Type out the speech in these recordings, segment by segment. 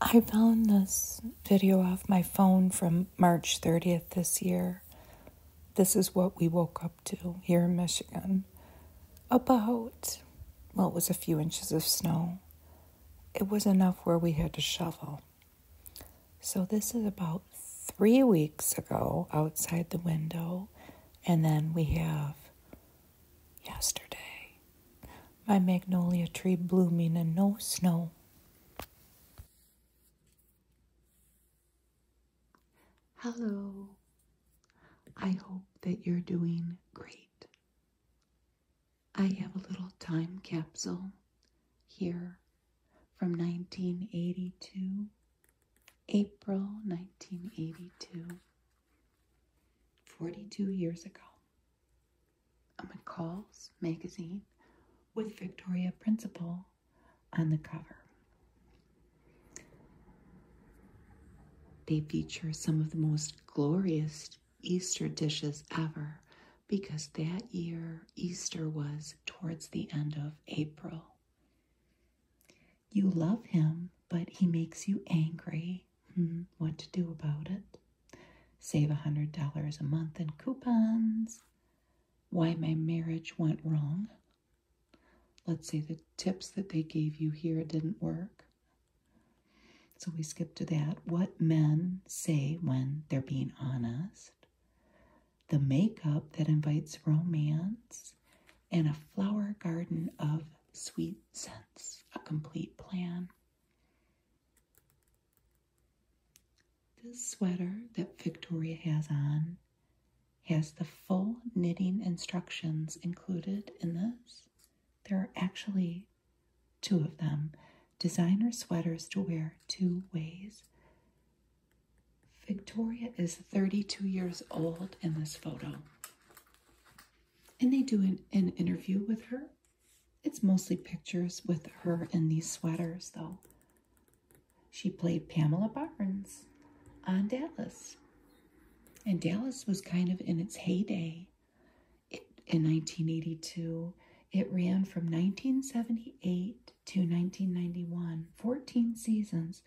I found this video off my phone from March 30th this year. This is what we woke up to here in Michigan. About, well, it was a few inches of snow. It was enough where we had to shovel. So, this is about three weeks ago outside the window. And then we have yesterday. My magnolia tree blooming and no snow. Hello. I hope that you're doing great. I have a little time capsule here from 1982, April 1982, 42 years ago a McCall's magazine with Victoria Principal on the cover. They feature some of the most glorious Easter dishes ever because that year Easter was towards the end of April. You love him, but he makes you angry Hmm, what to do about it. Save a $100 a month in coupons. Why my marriage went wrong. Let's say the tips that they gave you here didn't work. So we skip to that. What men say when they're being honest. The makeup that invites romance. And a flower garden of sweet scents. A complete plan. This sweater that Victoria has on has the full knitting instructions included in this. There are actually two of them designer sweaters to wear two ways. Victoria is 32 years old in this photo. And they do an, interview with her it's mostly pictures with her in these sweaters, though. She played Pamela Barnes on Dallas. And Dallas was kind of in its heyday in 1982. It ran from 1978 to 1991, 14 seasons.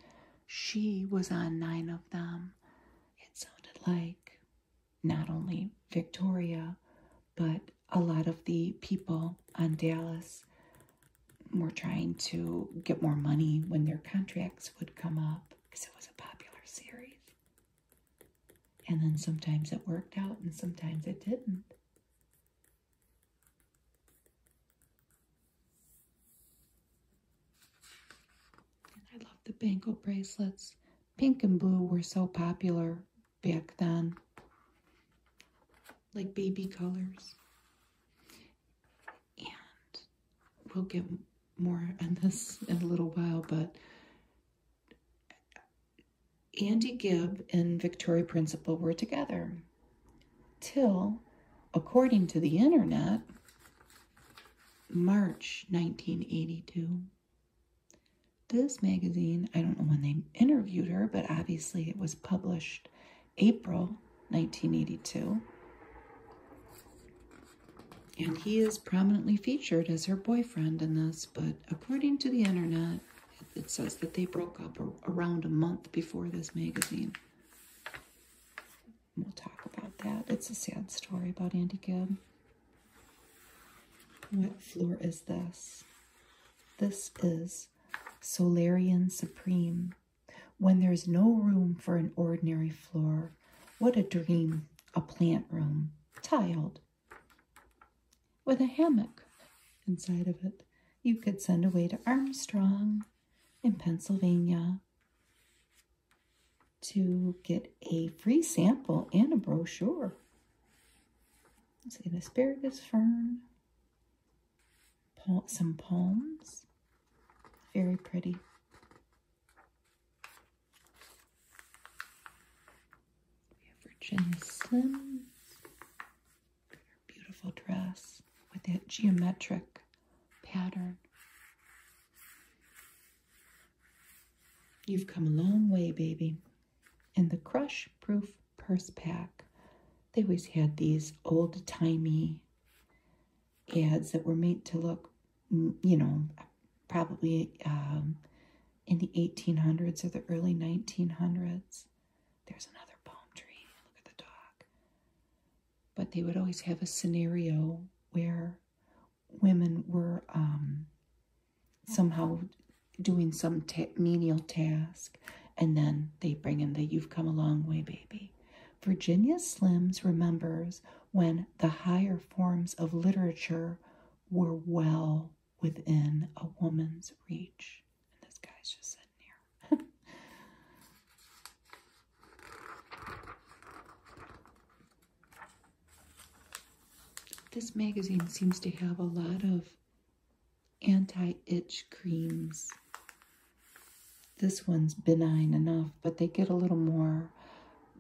She was on nine of them. It sounded like not only Victoria, but a lot of the people on Dallas were trying to get more money when their contracts would come up because it was a popular series. And then sometimes it worked out and sometimes it didn't. I love the bangle bracelets pink and blue were so popular back then, like baby colors. And we'll get more on this in a little while, but Andy Gibb and Victoria Principal were together till, according to the internet, March 1982. This magazine, I don't know when they interviewed her, but obviously it was published April 1982. And he is prominently featured as her boyfriend in this, but according to the internet, it says that they broke up around a month before this magazine. We'll talk about that. It's a sad story about Andy Gibb. What floor is this? This is Solarian Supreme. When there's no room for an ordinary floor, what a dream, a plant room, tiled, with a hammock inside of it. You could send away to Armstrong in Pennsylvania to get a free sample and a brochure it's an asparagus fern, some palms, very pretty. We have Virginia Slims, beautiful dress with that geometric pattern. You've come a long way, baby. And the crush proof purse pack. They always had these old timey ads that were made to look, mm, you know, probably um, in the 1800s or the early 1900s. There's another palm tree. Look at the dog. But they would always have a scenario where women were um, somehow doing some menial task, and then they bring in the You've Come a Long Way Baby. Virginia Slims remembers when the higher forms of literature were well within a woman's reach. And this guy's just sitting here. This magazine seems to have a lot of anti-itch creams. This one's benign enough, but they get a little more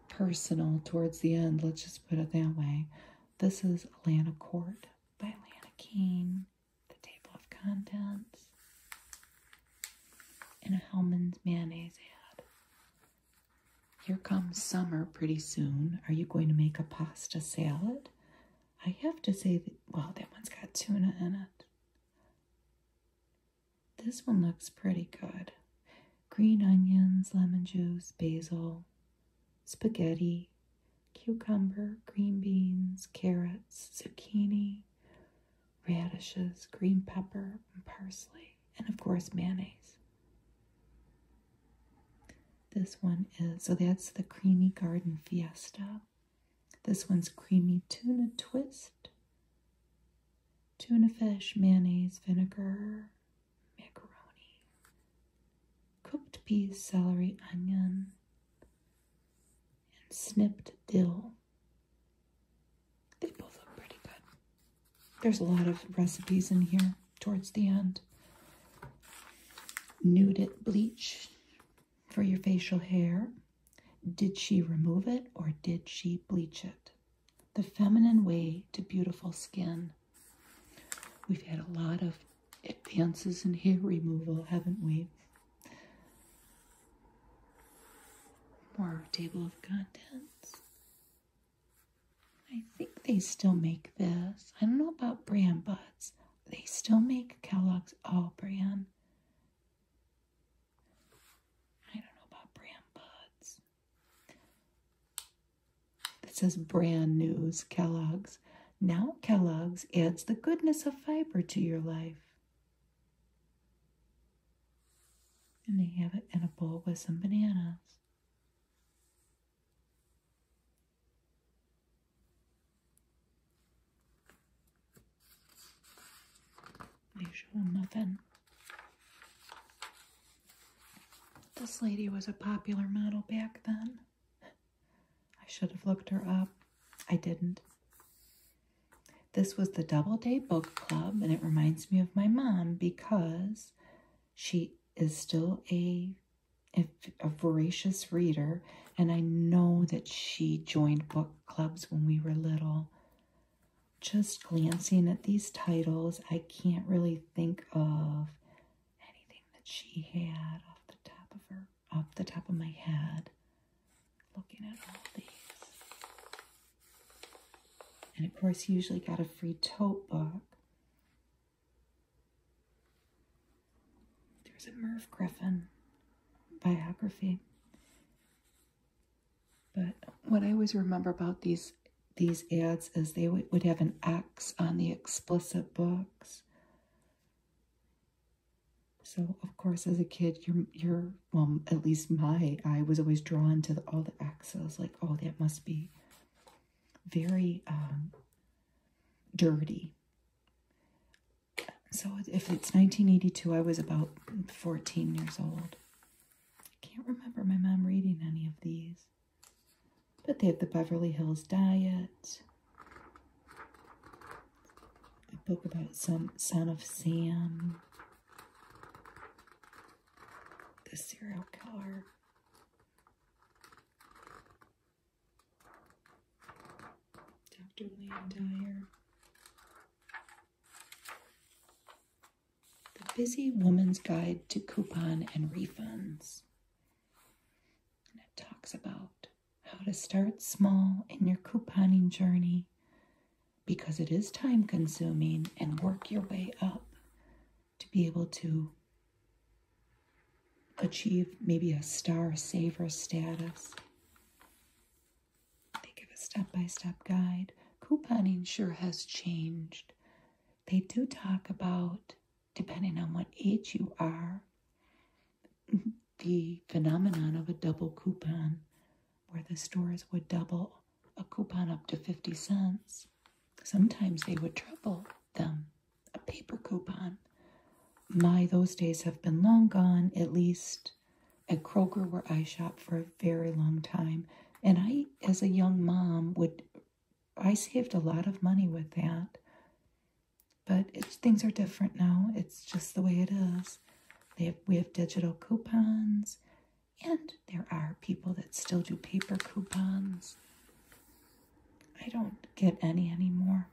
personal towards the end. Let's just put it that way. This is Atlanta Court by Atlanta Kane. The table of contents. And a Hellman's mayonnaise ad. Here comes summer pretty soon. Are you going to make a pasta salad? I have to say that, well, that one's got tuna in it. This one looks pretty good. Green onions, lemon juice, basil, spaghetti, cucumber, green beans, carrots, zucchini, radishes, green pepper, parsley, and of course, mayonnaise. This one is, so that's the Creamy Garden Fiesta. This one's creamy tuna twist, tuna fish, mayonnaise, vinegar, macaroni, cooked peas, celery, onion, and snipped dill. They both look pretty good. There's a lot of recipes in here towards the end. Nude it bleach for your facial hair. Did she remove it or did she bleach it? The feminine way to beautiful skin. We've had a lot of advances in hair removal, haven't we? More table of contents. I think they still make this. I don't know about brand buds. They still make Kellogg's All Brand. I don't know about brand buds. It says brand news Kellogg's. Now Kellogg's adds the goodness of fiber to your life. And they have it in a bowl with some bananas. Usual muffin. This lady was a popular model back then. I should have looked her up. I didn't. This was the Doubleday Book Club, and it reminds me of my mom because she is still a if a voracious reader, and I know that she joined book clubs when we were little. Just glancing at these titles, I can't really think of anything that she had off the top of her, off the top of my head. Looking at all these. And of course, you usually got a free tote book. There's a Merv Griffin biography. But what I always remember about these these ads is they would, have an X on the explicit books. So of course, as a kid, you're you're well, at least my I was always drawn to all the X's. Like, oh, that must be very um, dirty. So if it's 1982, I was about 14 years old. I can't remember my mom reading any of these. But they have the Beverly Hills Diet. A book about some Son of Sam. The serial killer. Dr. Liam Dyer. The Busy Woman's Guide to Coupon and Refunds. And it talks about how to start small in your couponing journey because it is time consuming and work your way up to be able to achieve maybe a star saver status. They give a step by step guide. Couponing sure has changed. They do talk about, depending on what age you are, the phenomenon of a double coupon, where the stores would double a coupon up to 50 cents. Sometimes they would triple them a paper coupon. My, those days have been long gone, at least at Kroger, where I shop for a very long time. And I, as a young mom, would I saved a lot of money with that. But things are different now. It's just the way it is. we have digital coupons, and there are people that still do paper coupons. I don't get any anymore.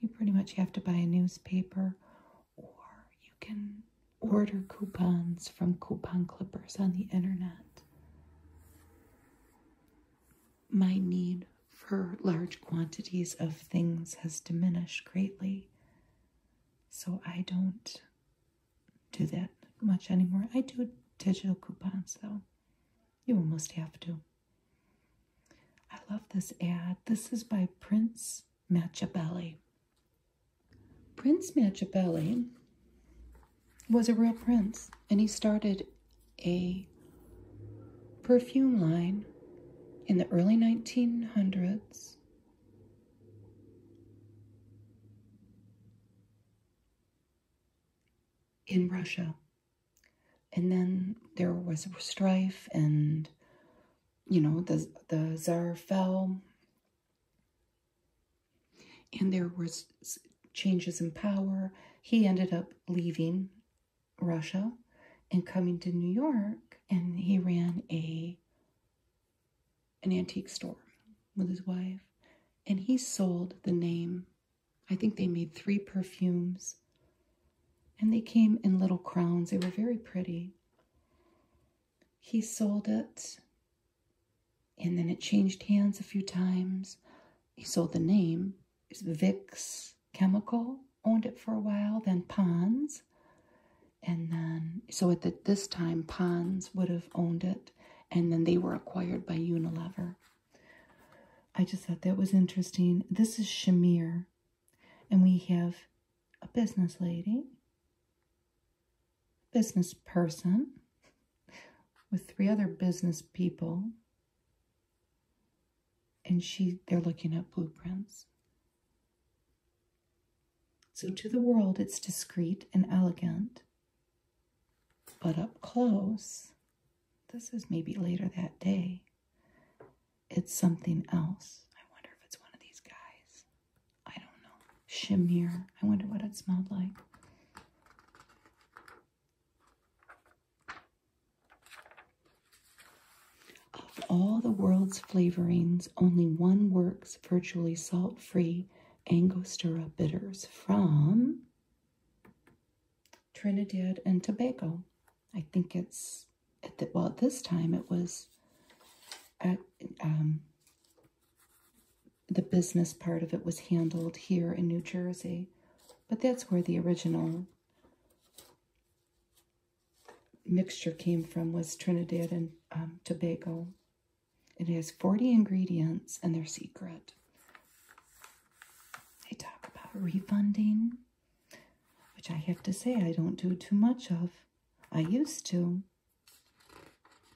You pretty much have to buy a newspaper or you can order coupons from coupon clippers on the internet. My need for large quantities of things has diminished greatly, so I don't do that much anymore. I do digital coupons though. You almost have to. I love this ad. This is by Prince Machiavelli. Prince Machiavelli was a real prince, and he started a perfume line in the early 1900s in Russia. And then there was strife and, you know, the, the czar fell. And there was changes in power. He ended up leaving Russia and coming to New York. And he ran a an antique store with his wife. And he sold the name I think they made three perfumes. And they came in little crowns. They were very pretty. He sold it. And then it changed hands a few times. He sold the name. It's Vicks Chemical. Owned it for a while. Then Pons. And then, so at this time, Pons would have owned it. And then they were acquired by Unilever. I just thought that was interesting. This is Shamir, and we have a business lady, business person, with three other business people, and she they're looking at blueprints. So to the world, it's discreet and elegant, but up close, this is maybe later that day, it's something else. I wonder if it's one of these guys. I don't know. Shamir. I wonder what it smelled like. Of all the world's flavorings, only one works virtually salt free Angostura bitters from Trinidad and Tobago. I think it's, at the, well, at this time it was at, um, the business part of it was handled here in New Jersey, but that's where the original mixture came from was Trinidad and um, Tobago. It has 40 ingredients and they're secret. They talk about refunding, which I have to say I don't do too much of. I used to.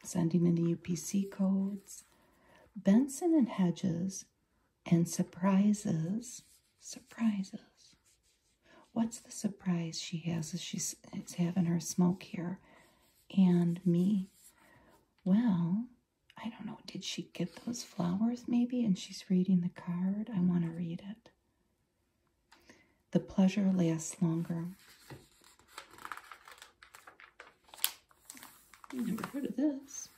Sending in the UPC codes, Benson and Hedges, and surprises. Surprises. What's the surprise she has is she's it's having her smoke here and me? Well, I don't know, did she get those flowers maybe? And she's reading the card. I want to read it. The pleasure lasts longer. i never heard of this.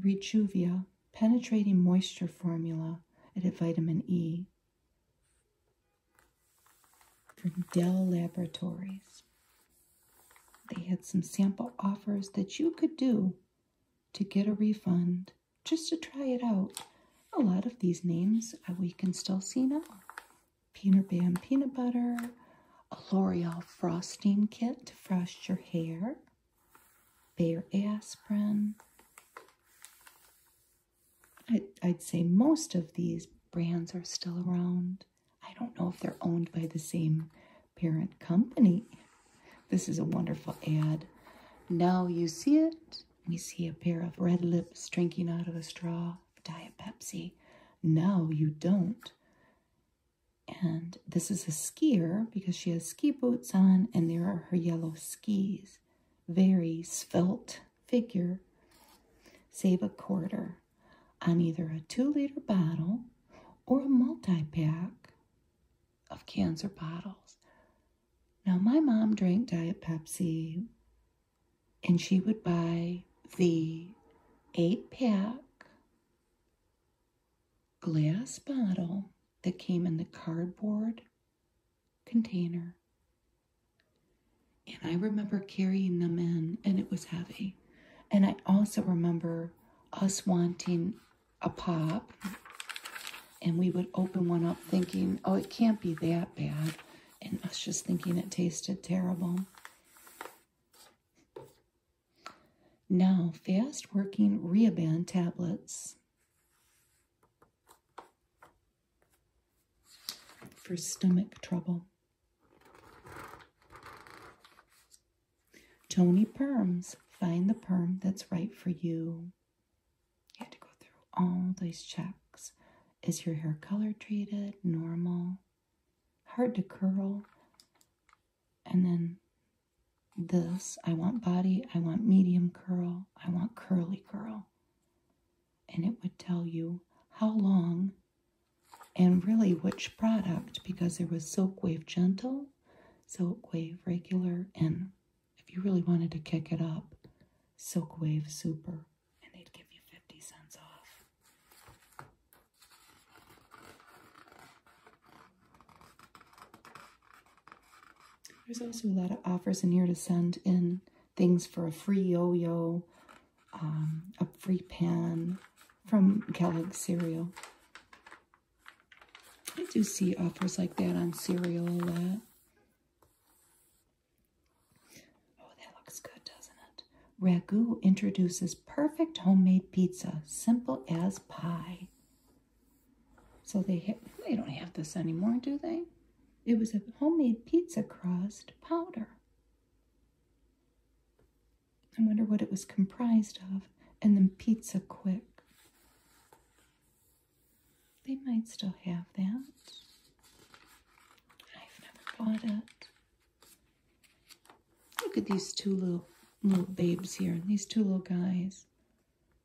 Rejuvia, penetrating moisture formula at vitamin E from Dell Laboratories. They had some sample offers that you could do to get a refund just to try it out. A lot of these names uh, we can still see now. Peanut Bam Peanut Butter, a L'Oreal Frosting Kit to frost your hair, Bayer Aspirin. I'd say most of these brands are still around. I don't know if they're owned by the same parent company. This is a wonderful ad. Now you see it. We see a pair of red lips drinking out of a straw of Diet Pepsi. Now you don't. And this is a skier because she has ski boots on and there are her yellow skis. Very svelte figure. Save a quarter on either a two liter bottle or a multi pack of cans or bottles. Now, my mom drank Diet Pepsi and she would buy the eight pack glass bottle that came in the cardboard container. And I remember carrying them in, and it was heavy. And I also remember us wanting a pop and we would open one up thinking, oh, it can't be that bad. And us just thinking it tasted terrible. Now, fast working Rehaban tablets. For stomach trouble. Tony Perms, find the perm that's right for you. You had to go through all these checks. Is your hair color treated? Normal? Hard to curl? And then this I want body, I want medium curl, I want curly curl. And it would tell you how long and really which product because there was Silkwave Gentle, Wave Regular, and if you really wanted to kick it up, Silkwave Super. And they'd give you 50 cents off. There's also a lot of offers in here to send in things for a free yo-yo, um, a free pan from Kellogg's cereal. I do see offers like that on cereal a lot. Oh, that looks good, doesn't it? Ragu introduces perfect homemade pizza, simple as pie. So they they don't have this anymore, do they? It was a homemade pizza crust powder. I wonder what it was comprised of. And then Pizza Quick. They might still have that. I've never bought it. Look at these two little little babes here. These two little guys.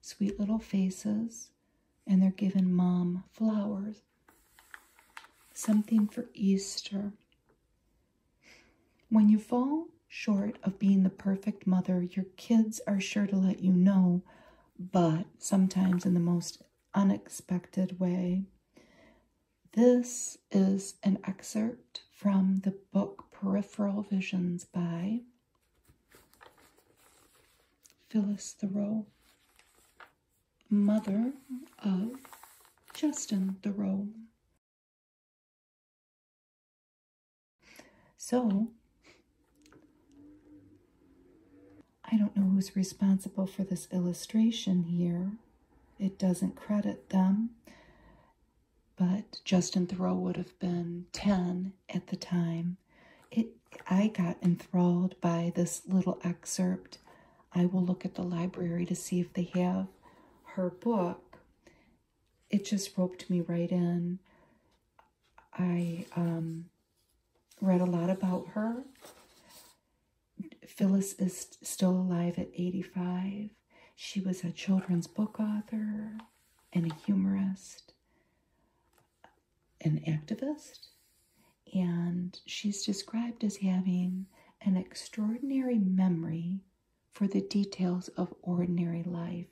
Sweet little faces. And they're giving mom flowers. Something for Easter. When you fall short of being the perfect mother, your kids are sure to let you know, but sometimes in the most unexpected way. This is an excerpt from the book Peripheral Visions by Phyllis Thoreau, mother of Justin Thoreau, so, I don't know who's responsible for this illustration here. It doesn't credit them, but Justin Thoreau would have been 10 at the time. It, I got enthralled by this little excerpt. I will look at the library to see if they have her book it just roped me right in. I um, read a lot about her. Phyllis is still alive at 85. She was a children's book author and a humorist, an activist, and she's described as having an extraordinary memory for the details of ordinary life.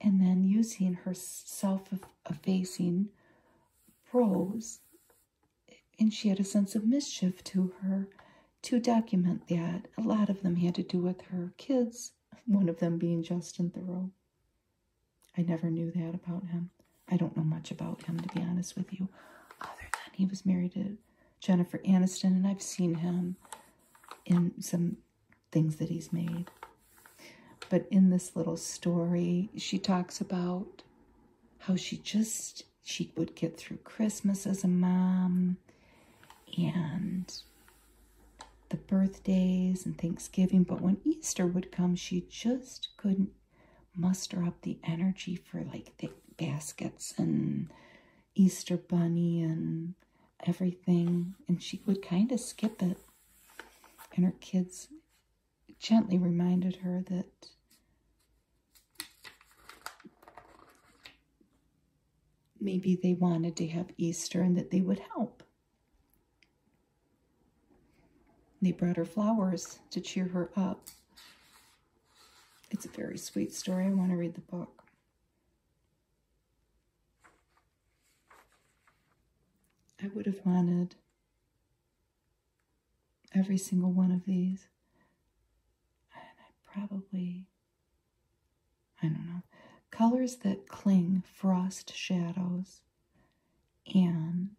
And then using her self effacing prose, and she had a sense of mischief to her to document that. A lot of them had to do with her kids, one of them being Justin Thoreau. I never knew that about him. I don't know much about him, to be honest with you, other than he was married to Jennifer Aniston, and I've seen him in some things that he's made. But in this little story, she talks about how she just, she would get through Christmas as a mom and the birthdays and Thanksgiving. But when Easter would come, she just couldn't muster up the energy for like the baskets and Easter bunny and everything, and she would kind of skip it. And her kids gently reminded her that maybe they wanted to have Easter and that they would help. They brought her flowers to cheer her up. It's a very sweet story. I want to read the book. I would have wanted every single one of these. And I probably, I don't know, colors that cling, frost shadows, and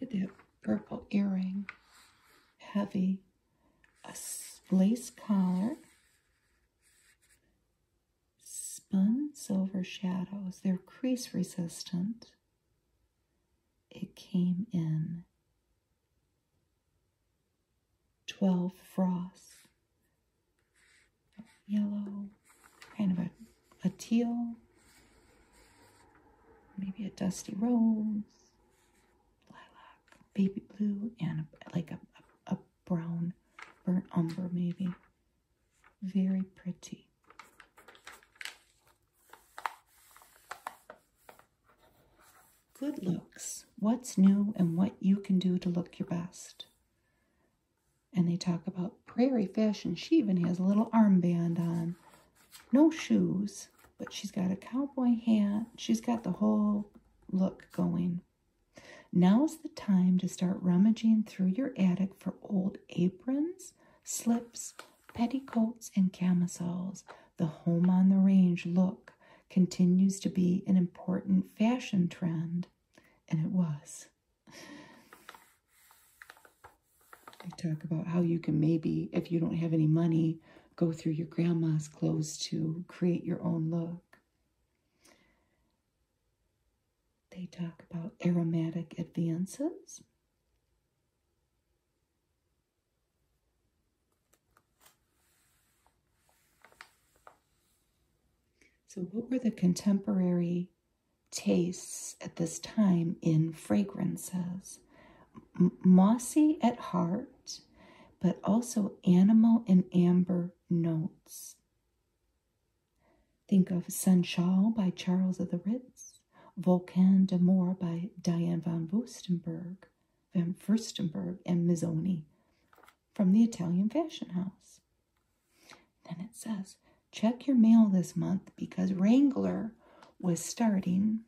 look at that purple earring, heavy a lace collar, spun silver shadows. They're crease resistant. It came in 12 frost, yellow, kind of a, a teal, maybe a dusty rose, lilac, baby blue, and like a, a, brown, burnt umber maybe. Very pretty. Good looks, what's new and what you can do to look your best. And they talk about prairie fish, and She even has a little armband on no shoes, but she's got a cowboy hat. She's got the whole look going. Now's the time to start rummaging through your attic for old aprons, slips, petticoats, and camisoles. The home on the range look continues to be an important fashion trend, and it was. I talk about how you can maybe, if you don't have any money, go through your grandma's clothes to create your own look. They talk about aromatic advances. So, what were the contemporary tastes at this time in fragrances? mossy at heart but also animal and amber notes. Think of Sunshall by Charles of the Ritz, Volcan d'Amour by Diane von Furstenberg, Van Furstenberg and Mizzoni from the Italian Fashion House. Then it says, check your mail this month because Wrangler was starting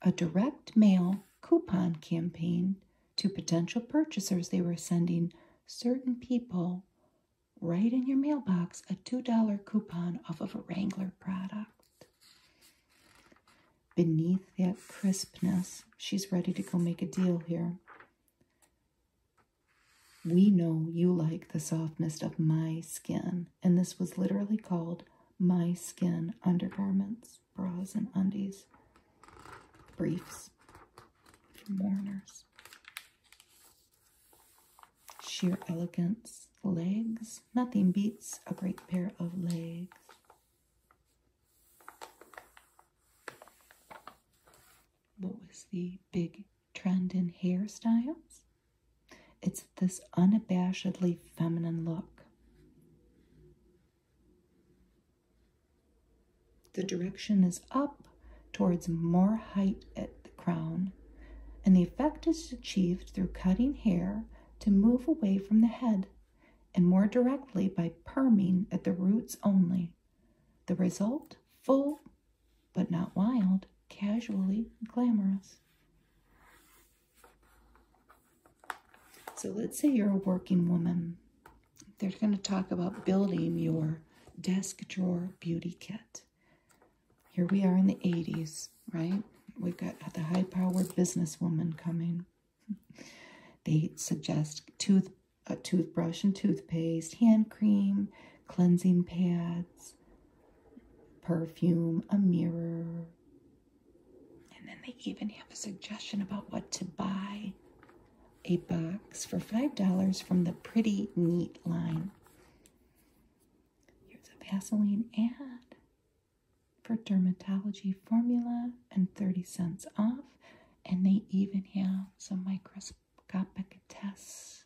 a direct mail coupon campaign to potential purchasers. They were sending certain people right in your mailbox a $2 coupon off of a Wrangler product. Beneath that crispness, she's ready to go make a deal here. We know you like the softness of my skin, and this was literally called my skin undergarments socks, bras and undies, briefs for mourners, sheer elegance, legs, nothing beats a great pair of legs. What was the big trend in hairstyles? It's this unabashedly feminine look. The direction is up towards more height at the crown, and the effect is achieved through cutting hair to move away from the head and more directly by perming at the roots only. The result, full but not wild, casually glamorous. So let's say you're a working woman. They're going to talk about building your desk drawer beauty kit. Here we are in the 80s, right? We've got the high-powered businesswoman coming. They suggest tooth, a toothbrush and toothpaste, hand cream, cleansing pads, perfume, a mirror, and then they even have a suggestion about what to buy a box for $5 from the Pretty Neat line. Here's a Vaseline ad for dermatology formula and 30 cents off. And they even have some microscopic tests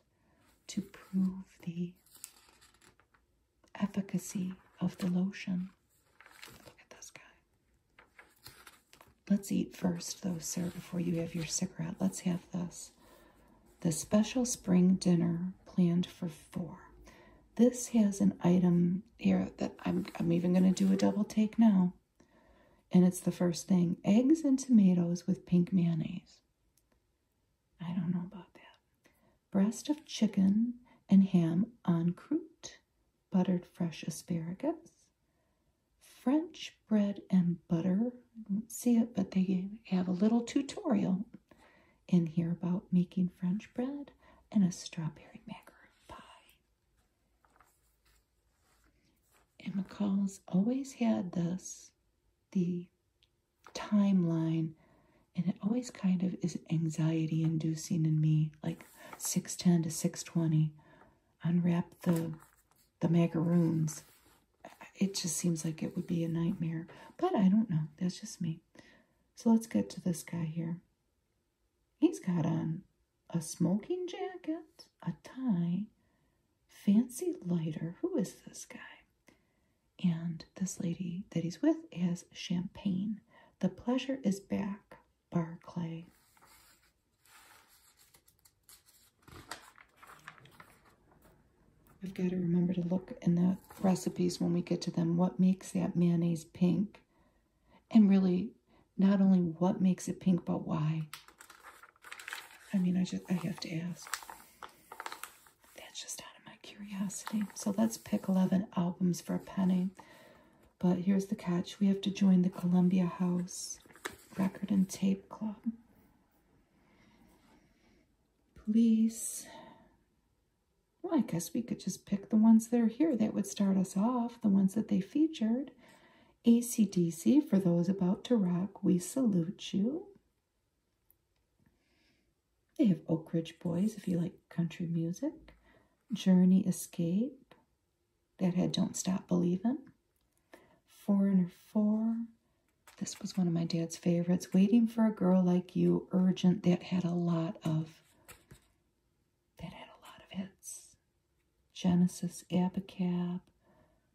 to prove the efficacy of the lotion. Look at this guy. Let's eat first, though, sir, before you have your cigarette. Let's have this. The special spring dinner planned for four. This has an item here that I'm, I'm even going to do a double take now. And it's the first thing. Eggs and tomatoes with pink mayonnaise. I don't know about that breast of chicken and ham on croûte, buttered fresh asparagus, French bread and butter. I don't see it, but they have a little tutorial in here about making French bread and a strawberry macaron pie. And McCall's always had this, the timeline and it always kind of is anxiety inducing in me like 610 to 620 unwrap the the macaroons it just seems like it would be a nightmare but i don't know that's just me so let's get to this guy here he's got on a smoking jacket a tie fancy lighter who is this guy and this lady that he's with has champagne the pleasure is back, Barclay. We've got to remember to look in the recipes when we get to them. What makes that mayonnaise pink? And really, not only what makes it pink, but why. I mean, I just I have to ask. That's just out of my curiosity. So let's pick 11 albums for a penny. But here's the catch. We have to join the Columbia House Record and Tape Club. please. Well, I guess we could just pick the ones that are here. That would start us off, the ones that they featured. ACDC, for those about to rock, we salute you. They have Oak Ridge Boys if you like country music. Journey Escape, that had Don't Stop Believing, Foreigner 4, this was one of my dad's favorites. Waiting for a Girl Like You, Urgent, that had a lot of, that had a lot of hits. Genesis, Abacab,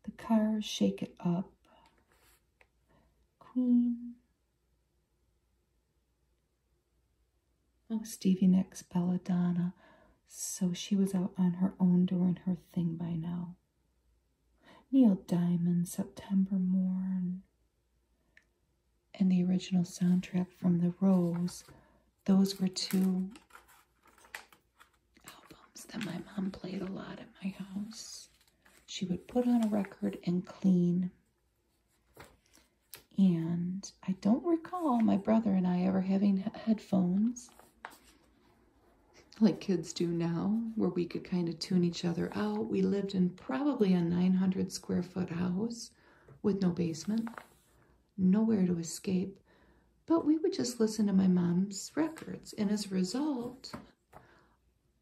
The Cars, Shake It Up, Queen, Oh, Stevie Nicks, "Bella Donna," So she was out on her own doing her thing by now. Neil Diamond, September Morn. And the original soundtrack from The Rose. Those were two albums that my mom played a lot at my house. She would put on a record and clean. And I don't recall my brother and I ever having headphones like kids do now, where we could kind of tune each other out. We lived in probably a 900 square foot house with no basement, nowhere to escape. But we would just listen to my mom's records. And as a result,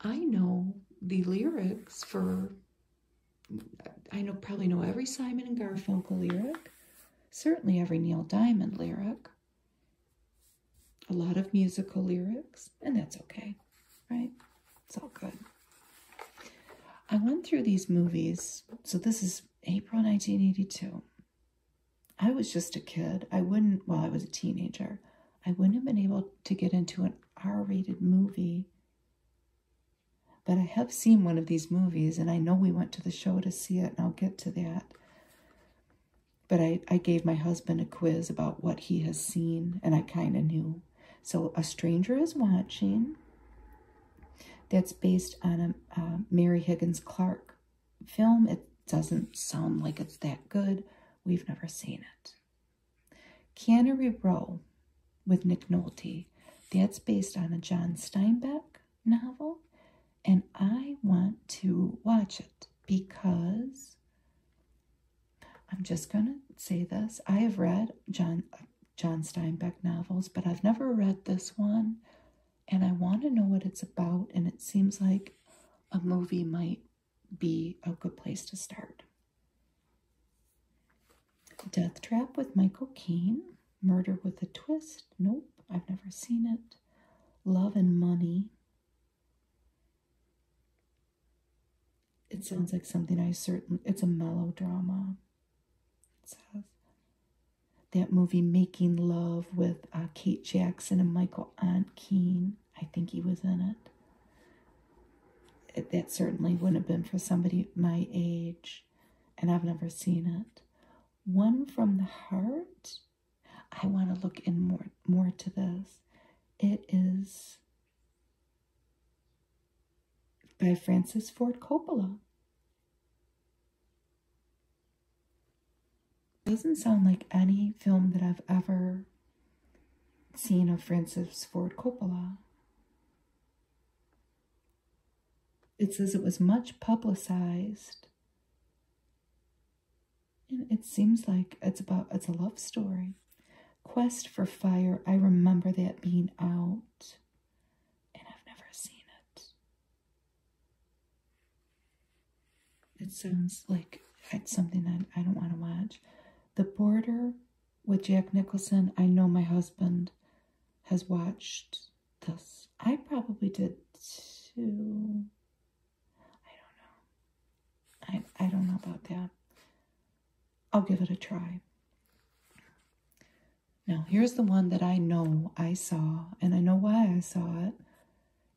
I know the lyrics for I know probably know every Simon and Garfunkel lyric, certainly every Neil Diamond lyric, a lot of musical lyrics, and that's okay, right? It's all good. I went through these movies, so this is April 1982. I was just a kid. I wouldn't, well, I was a teenager. I wouldn't have been able to get into an R rated movie but I have seen one of these movies, and I know we went to the show to see it, and I'll get to that. But I, I gave my husband a quiz about what he has seen, and I kind of knew. So A Stranger is Watching. That's based on a Mary Higgins Clark film. It doesn't sound like it's that good. We've never seen it. Canary Row with Nick Nolte. That's based on a John Steinbeck novel, and I want to watch it because I'm just gonna say this: I have read John John Steinbeck novels, but I've never read this one, and I want to know what it's about. And it seems like a movie might be a good place to start. Death Trap with Michael Caine. Murder with a Twist. Nope, I've never seen it. Love and Money. It sounds like something I certainly. It's a melodrama. that movie Making Love with uh, Kate Jackson and Michael Ankeen. I think he was in it. That certainly wouldn't have been for somebody my age and I've never seen it. One from the heart. I want to look in more more to this. It is by Francis Ford Coppola. Doesn't sound like any film that I've ever seen of Francis Ford Coppola. It says it was much publicized. And it seems like it's about it's a love story. Quest for Fire. I remember that being out. And I've never seen it. It sounds like it's something that I don't want to watch. The Border with Jack Nicholson, I know my husband has watched this. I probably did too. I don't know. I, I don't know about that. I'll give it a try. Now, here's the one that I know I saw, and I know why I saw it.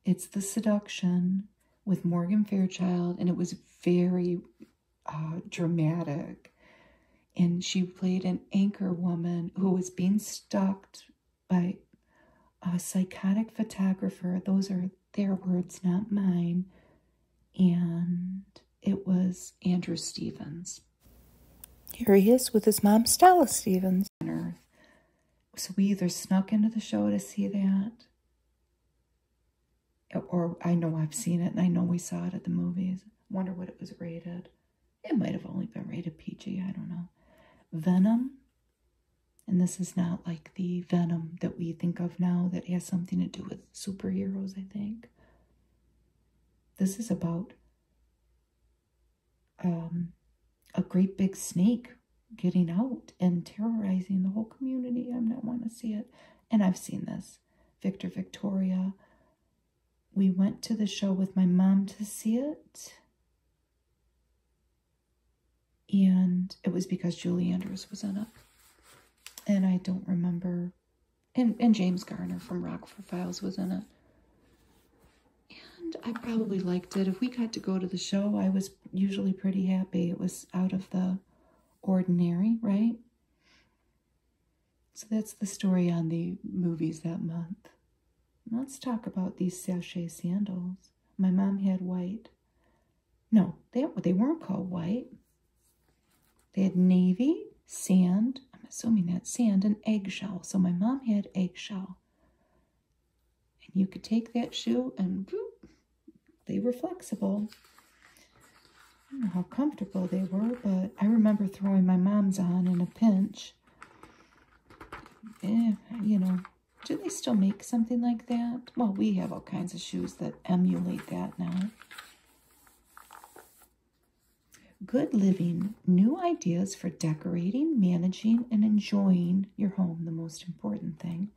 It's The Seduction with Morgan Fairchild, and it was very uh, dramatic. And she played an anchor woman who was being stalked by a psychotic photographer. Those are their words, not mine. And it was Andrew Stevens. Here he is with his mom, Stella Stevens. So we either snuck into the show to see that, or I know I've seen it and I know we saw it at the movies. Wonder what it was rated. It might have only been rated PG, I don't know. Venom. And this is not like the Venom that we think of now that has something to do with superheroes, I think. This is about um, a great big snake getting out and terrorizing the whole community. I'm not want to see it. And I've seen this. Victor Victoria, we went to the show with my mom to see it. And it was because Julie Andrews was in it. And I don't remember. And, and James Garner from Rockford Files was in it. And I probably liked it. If we got to go to the show, I was usually pretty happy. It was out of the ordinary, right? So that's the story on the movies that month. Let's talk about these sachet sandals. My mom had white. No, they, they weren't called white. They had navy, sand, I'm assuming that sand, and eggshell. So my mom had eggshell. And you could take that shoe and whoop, they were flexible. I don't know how comfortable they were, but I remember throwing my mom's on in a pinch. Eh, you know, do they still make something like that? Well, we have all kinds of shoes that emulate that now. Good living, new ideas for decorating, managing, and enjoying your home, the most important thing.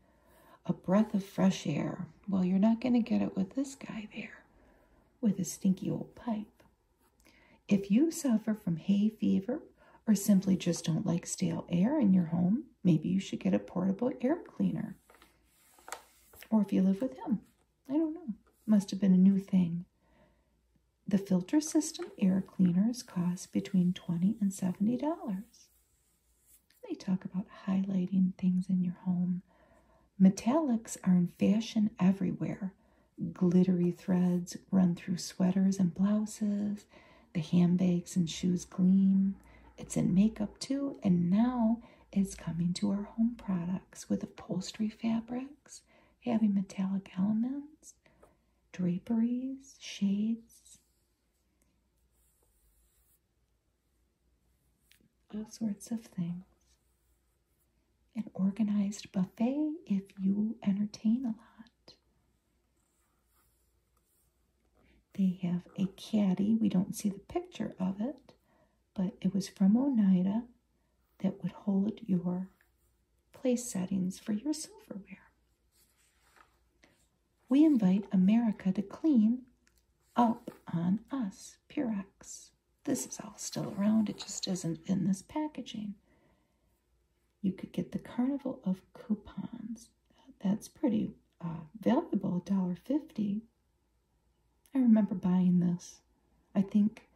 A breath of fresh air. Well, you're not going to get it with this guy there with his stinky old pipe. If you suffer from hay fever or simply just don't like stale air in your home, maybe you should get a portable air cleaner. Or if you live with him, I don't know. Must have been a new thing. The filter system air cleaners cost between 20 and $70. They talk about highlighting things in your home, Metallics are in fashion everywhere. Glittery threads run through sweaters and blouses. The handbags and shoes gleam. It's in makeup too, and now it's coming to our home products with upholstery fabrics having metallic elements, draperies, shades, all sorts of things an organized buffet if you entertain a lot. They have a caddy. We don't see the picture of it, but it was from Oneida that would hold your place settings for your silverware. We invite America to clean up on us, Purex. This is all still around, it just isn't in this packaging. You could get the Carnival of Coupons. That's pretty uh, dollar fifty. I remember buying this. I think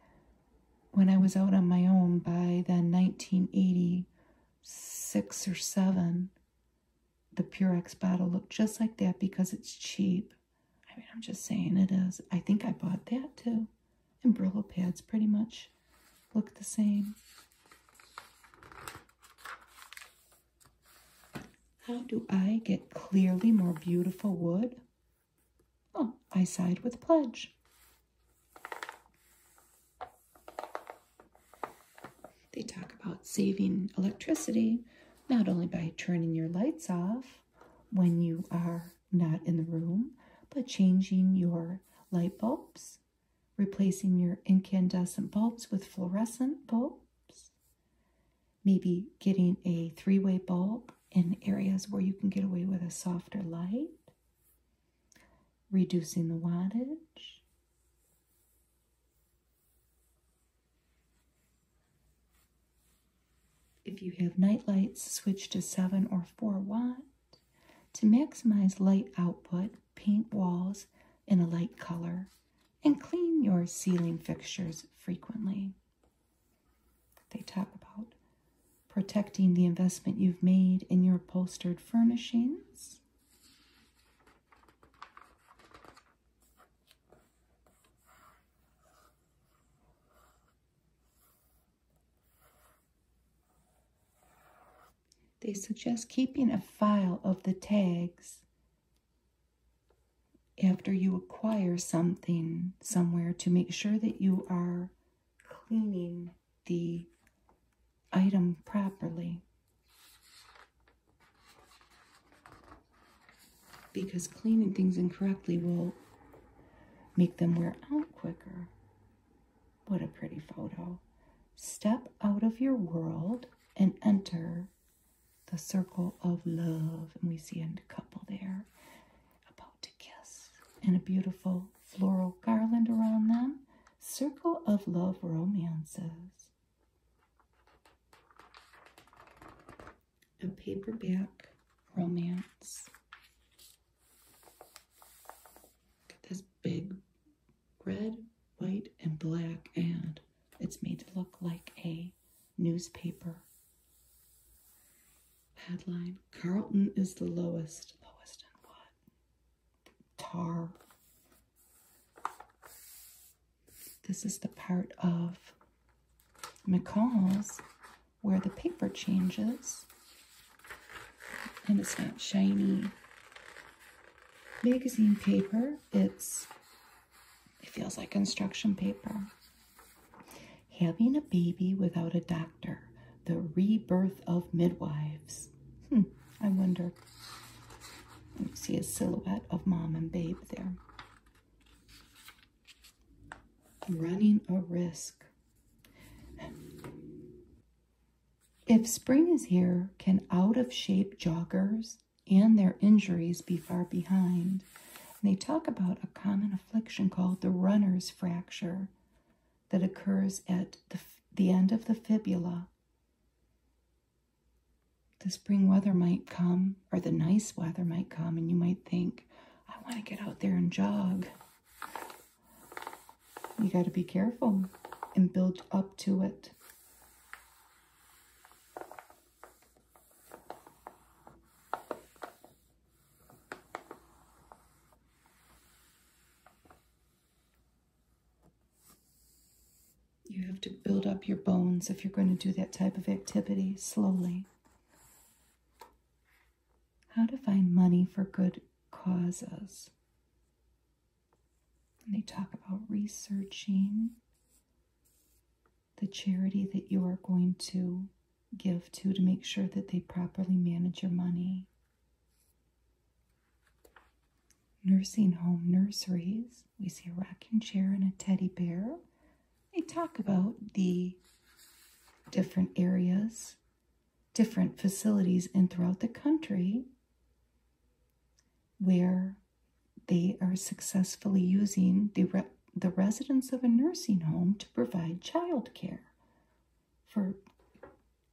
when I was out on my own by then 1986 or 7, the Purex bottle looked just like that because it's cheap. I mean, I'm just saying it is. I think I bought that too. And Brillo pads pretty much look the same. How do I get clearly more beautiful wood? Oh, I side with Pledge. They talk about saving electricity, not only by turning your lights off, when you are not in the room, but changing your light bulbs, replacing your incandescent bulbs with fluorescent bulbs, maybe getting a three way bulb in areas where you can get away with a softer light, reducing the wattage. If you have night lights, switch to 7 or 4 watt. To maximize light output, paint walls in a light color and clean your ceiling fixtures frequently. They talk about protecting the investment you've made in your upholstered furnishings. They suggest keeping a file of the tags after you acquire something somewhere to make sure that you are cleaning the item properly. Because cleaning things incorrectly will make them wear out quicker. What a pretty photo. Step out of your world and enter the circle of love. And we see a couple there about to kiss, and a beautiful floral garland around them. Circle of Love Romances a paperback romance. Look this big red, white, and black, and it's made to look like a newspaper headline. Carlton is the lowest. Lowest in what? Tar. This is the part of McCall's where the paper changes and it's not shiny magazine paper. It's, it feels like construction paper. Having a baby without a doctor, the rebirth of midwives. Hmm, I wonder. see a silhouette of mom and babe there running a risk. If spring is here, can out of shape joggers and their injuries be far behind? they talk about a common affliction called the runner's fracture that occurs at the, the end of the fibula. The spring weather might come, or the nice weather might come, and you might think, I want to get out there and jog. You got to be careful and build up to it. You have to build up your bones if you're going to do that type of activity slowly how to find money for good causes. And they talk about researching the charity that you are going to give to to make sure that they properly manage your money. Nursing home nurseries, we see a rocking chair and a teddy bear. They talk about the different areas different facilities and throughout the country where they are successfully using the, re the residents of a nursing home to provide child care for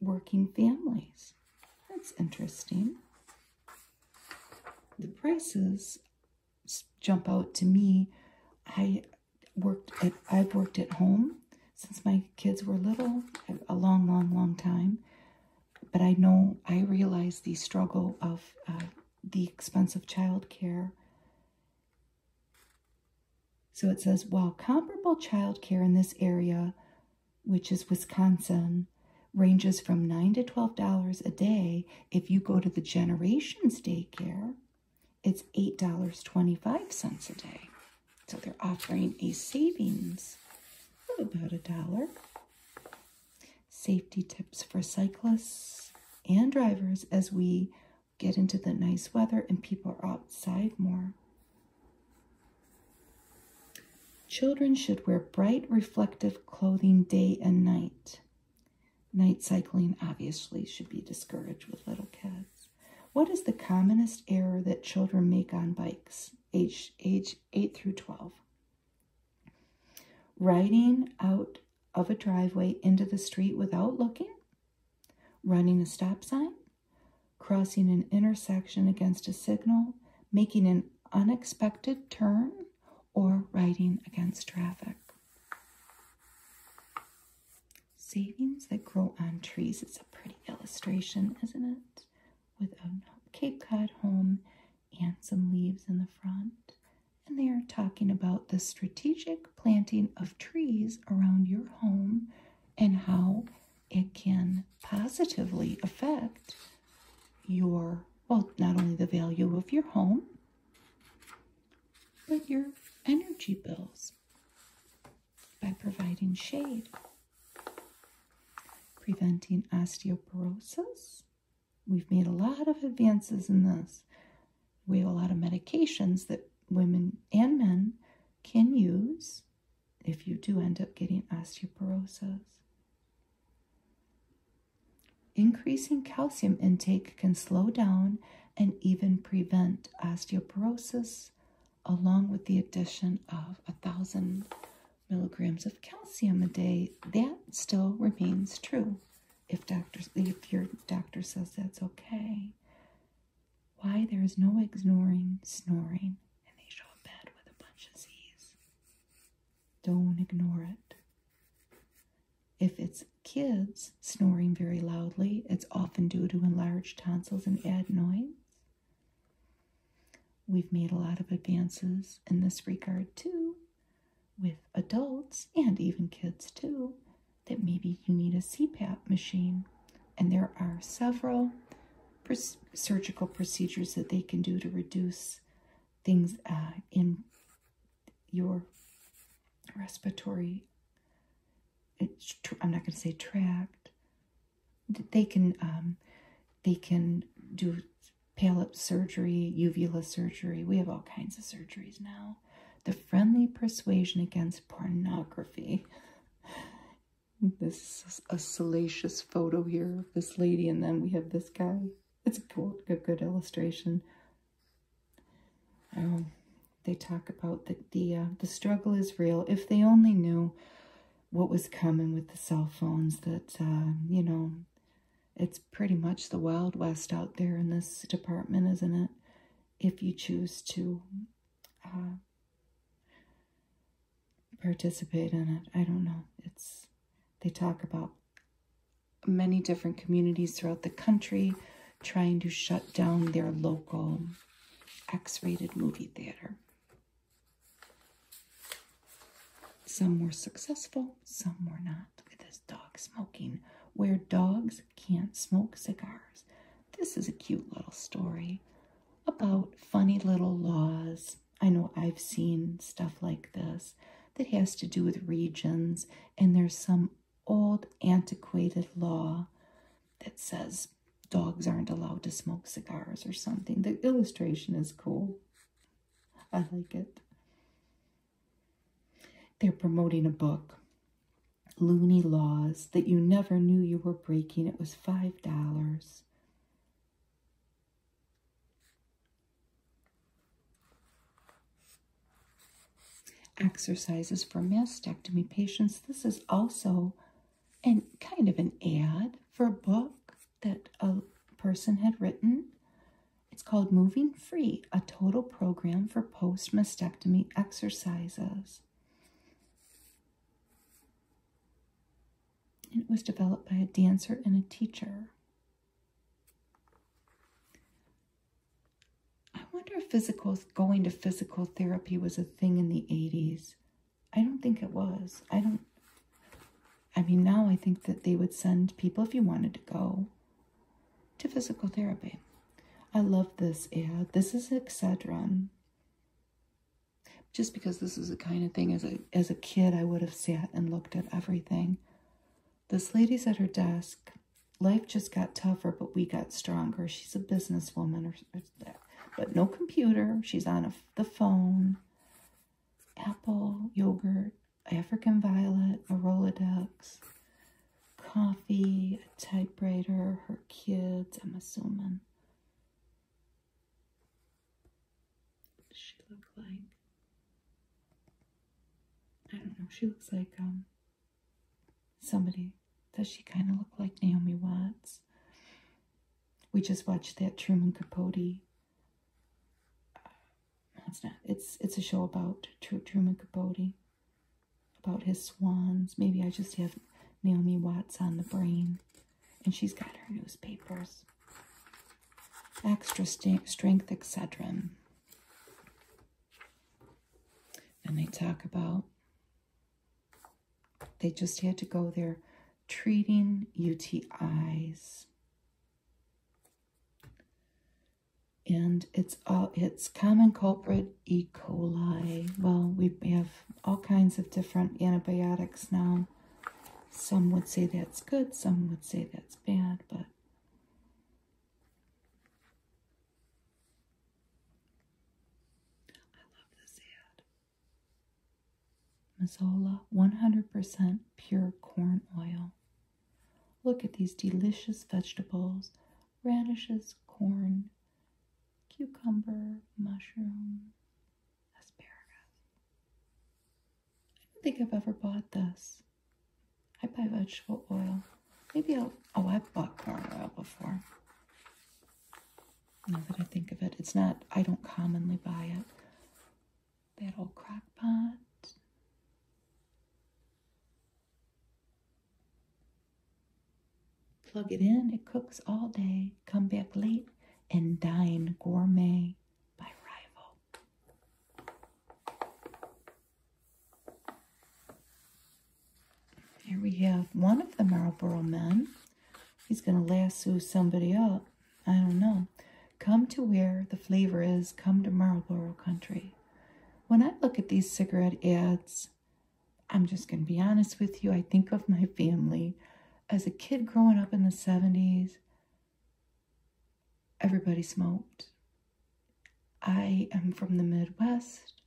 working families. That's interesting. The prices jump out to me. I worked I've worked at home since my kids were little, a long, long, long time. But I know I realize the struggle of uh, the expense of childcare. So it says, while comparable childcare in this area, which is Wisconsin, ranges from nine to twelve dollars a day if you go to the Generations daycare it's $8.25 a day. So they're offering a savings of about a dollar. Safety tips for cyclists and drivers as we get into the nice weather and people are outside more. Children should wear bright, reflective clothing day and night. Night cycling obviously should be discouraged with little kids. What is the commonest error that children make on bikes, age, age 8 through 12? Riding out of a driveway into the street without looking, running a stop sign, crossing an intersection against a signal, making an unexpected turn, or riding against traffic. Savings that grow on trees. It's a pretty illustration, isn't it? With a Cape Cod home and some leaves in the front. And they are talking about the strategic planting of trees around your home and how it can positively affect your, well, not only the value of your home, but your energy bills by providing shade, preventing osteoporosis. We've made a lot of advances in this. We have a lot of medications that women and men can use if you do end up getting osteoporosis. Increasing calcium intake can slow down and even prevent osteoporosis, along with the addition of a thousand milligrams of calcium a day. That still remains true if doctors if your doctor says that's okay. Why there is no ignoring snoring and they show a bed with a bunch of Z's. Don't ignore it. If it's kids, snoring very loudly. It's often due to enlarged tonsils and adenoids. We've made a lot of advances in this regard too, with adults and even kids too, that maybe you need a CPAP machine. And there are several surgical procedures that they can do to reduce things uh, in your respiratory I'm not going to say trapped. They can um, they can do palate surgery, uvula surgery. We have all kinds of surgeries now. The friendly persuasion against pornography. this is a salacious photo here of this lady, and then we have this guy. It's a good, illustration. Um, they talk about that the, uh, the struggle is real. If they only knew what was coming with the cell phones, that, uh, you know, it's pretty much the Wild West out there in this department, isn't it? If you choose to uh, participate in it. I don't know. It's They talk about many different communities throughout the country trying to shut down their local X rated movie theater. Some were successful, some were not. Look at this dog smoking, where dogs can't smoke cigars. This is a cute little story about funny little laws. I know I've seen stuff like this that has to do with regions, and there's some old antiquated law that says dogs aren't allowed to smoke cigars or something. The illustration is cool. I like it. They're promoting a book. Loony Laws That You Never Knew You Were Breaking. It was $5. Exercises for mastectomy patients. This is also and kind of an ad for a book that a person had written. It's called Moving Free, a total program for post mastectomy exercises. And it was developed by a dancer and a teacher. I wonder if physical going to physical therapy was a thing in the 80s. I don't think it was. I don't I mean now I think that they would send people if you wanted to go to physical therapy. I love this ad. This is Excedrin. Just because this is a kind of thing as a as a kid I would have sat and looked at everything. This lady's at her desk. Life just got tougher, but we got stronger. She's a businesswoman or, but no computer. She's on the phone. Apple, yogurt, African violet, a Rolodex, coffee, a typewriter, her kids, I'm assuming. What does she look like? I don't know. She looks like um Somebody, does she kind of look like Naomi Watts? We just watched that Truman Capote. Uh, it's not. It's it's a show about Truman Capote, about his swans. Maybe I just have Naomi Watts on the brain, and she's got her newspapers. Extra strength Excedrin. And they talk about they just had to go there treating UTIs. And it's all it's common culprit E. coli. Well, we have all kinds of different antibiotics now. Some would say that's good, some would say that's bad, but I love this ad. Mazola 100% pure corn oil. Look at these delicious vegetables radishes, corn, cucumber, mushroom, asparagus. I don't think I've ever bought this. I buy vegetable oil. Maybe i Oh, i bought corn oil before. Now that I think of it, it's not, I don't commonly buy it. That old crock pot. Plug it in, it cooks all day. Come back late and dine gourmet by Rival. Here we have one of the Marlboro men. He's going to lasso somebody up. I don't know. Come to where the flavor is. Come to Marlboro country. When I look at these cigarette ads, I'm just going to be honest with you. I think of my family. As a kid growing up in the 70s, everybody smoked. I am from the Midwest.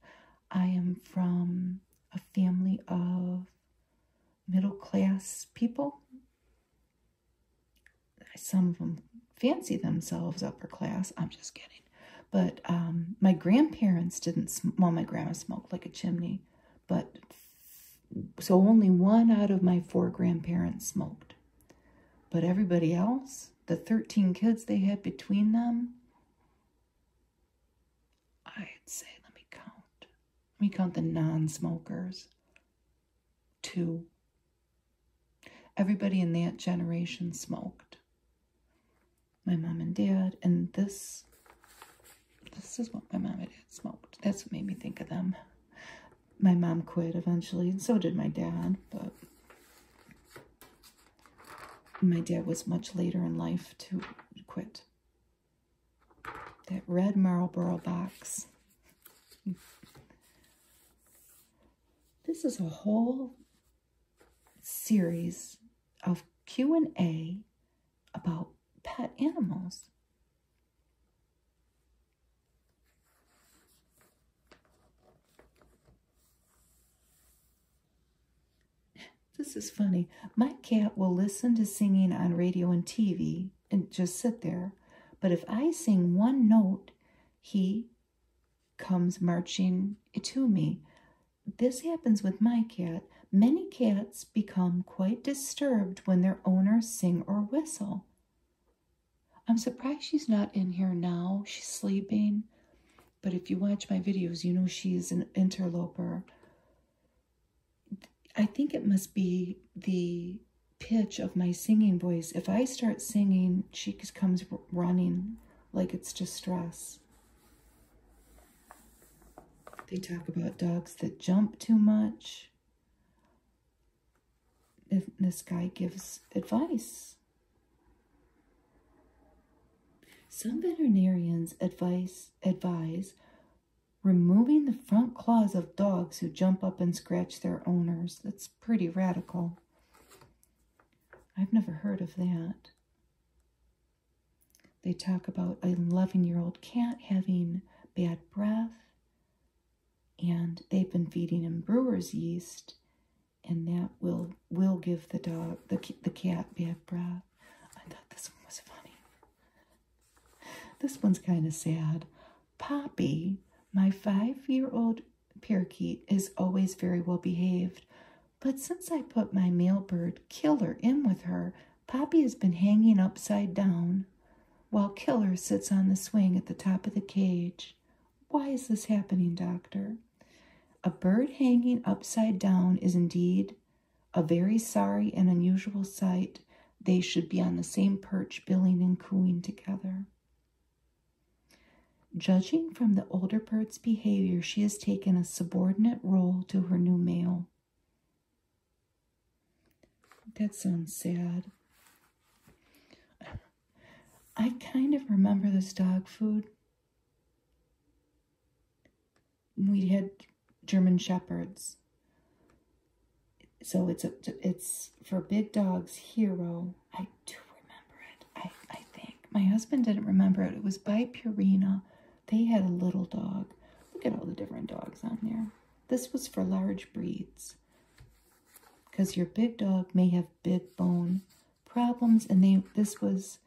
I am from a family of middle class people. Some of them fancy themselves upper class. I'm just kidding. But um, my grandparents didn't, well, my grandma smoked like a chimney, but so only one out of my four grandparents smoked. But everybody else, the 13 kids they had between them, I'd say, let me count. Let me count the non smokers. Two. Everybody in that generation smoked. My mom and dad, and this. This is what my mom and dad smoked. That's what made me think of them. My mom quit eventually, and so did my dad, but my dad was much later in life to quit. That red Marlboro box. this is a whole series of Q&A about pet animals. This is funny. My cat will listen to singing on radio and TV and just sit there. But if I sing one note, he comes marching to me. This happens with my cat. Many cats become quite disturbed when their owners sing or whistle. I'm surprised she's not in here now. She's sleeping. But if you watch my videos, you know she's an interloper. I think it must be the pitch of my singing voice. If I start singing, she comes running like it's distress. They talk about dogs that jump too much. If this guy gives advice. Some veterinarians advise, advise removing the front claws of dogs who jump up and scratch their owners. That's pretty radical. I've never heard of that. They talk about a 11 year old cat having bad breath, and they've been feeding him brewer's yeast, and that will, will give the dog the, the cat bad breath. I thought this one was funny. This one's kind of sad. Poppy, my five year old parakeet, is always very well behaved, but since I put my male bird Killer in with her, Poppy has been hanging upside down while Killer sits on the swing at the top of the cage. Why is this happening, Doctor? A bird hanging upside down is indeed a very sorry and unusual sight, they should be on the same perch, billing and cooing together. Judging from the older bird's behavior, she has taken a subordinate role to her new male. That sounds sad. I kind of remember this dog food we had German Shepherds. So it's a, it's for big dogs, Hero. I do remember it, I, I think. My husband didn't remember it. It was by Purina. They had a little dog. Look at all the different dogs on there. This was for large breeds. Because your big dog may have big bone problems. And they this was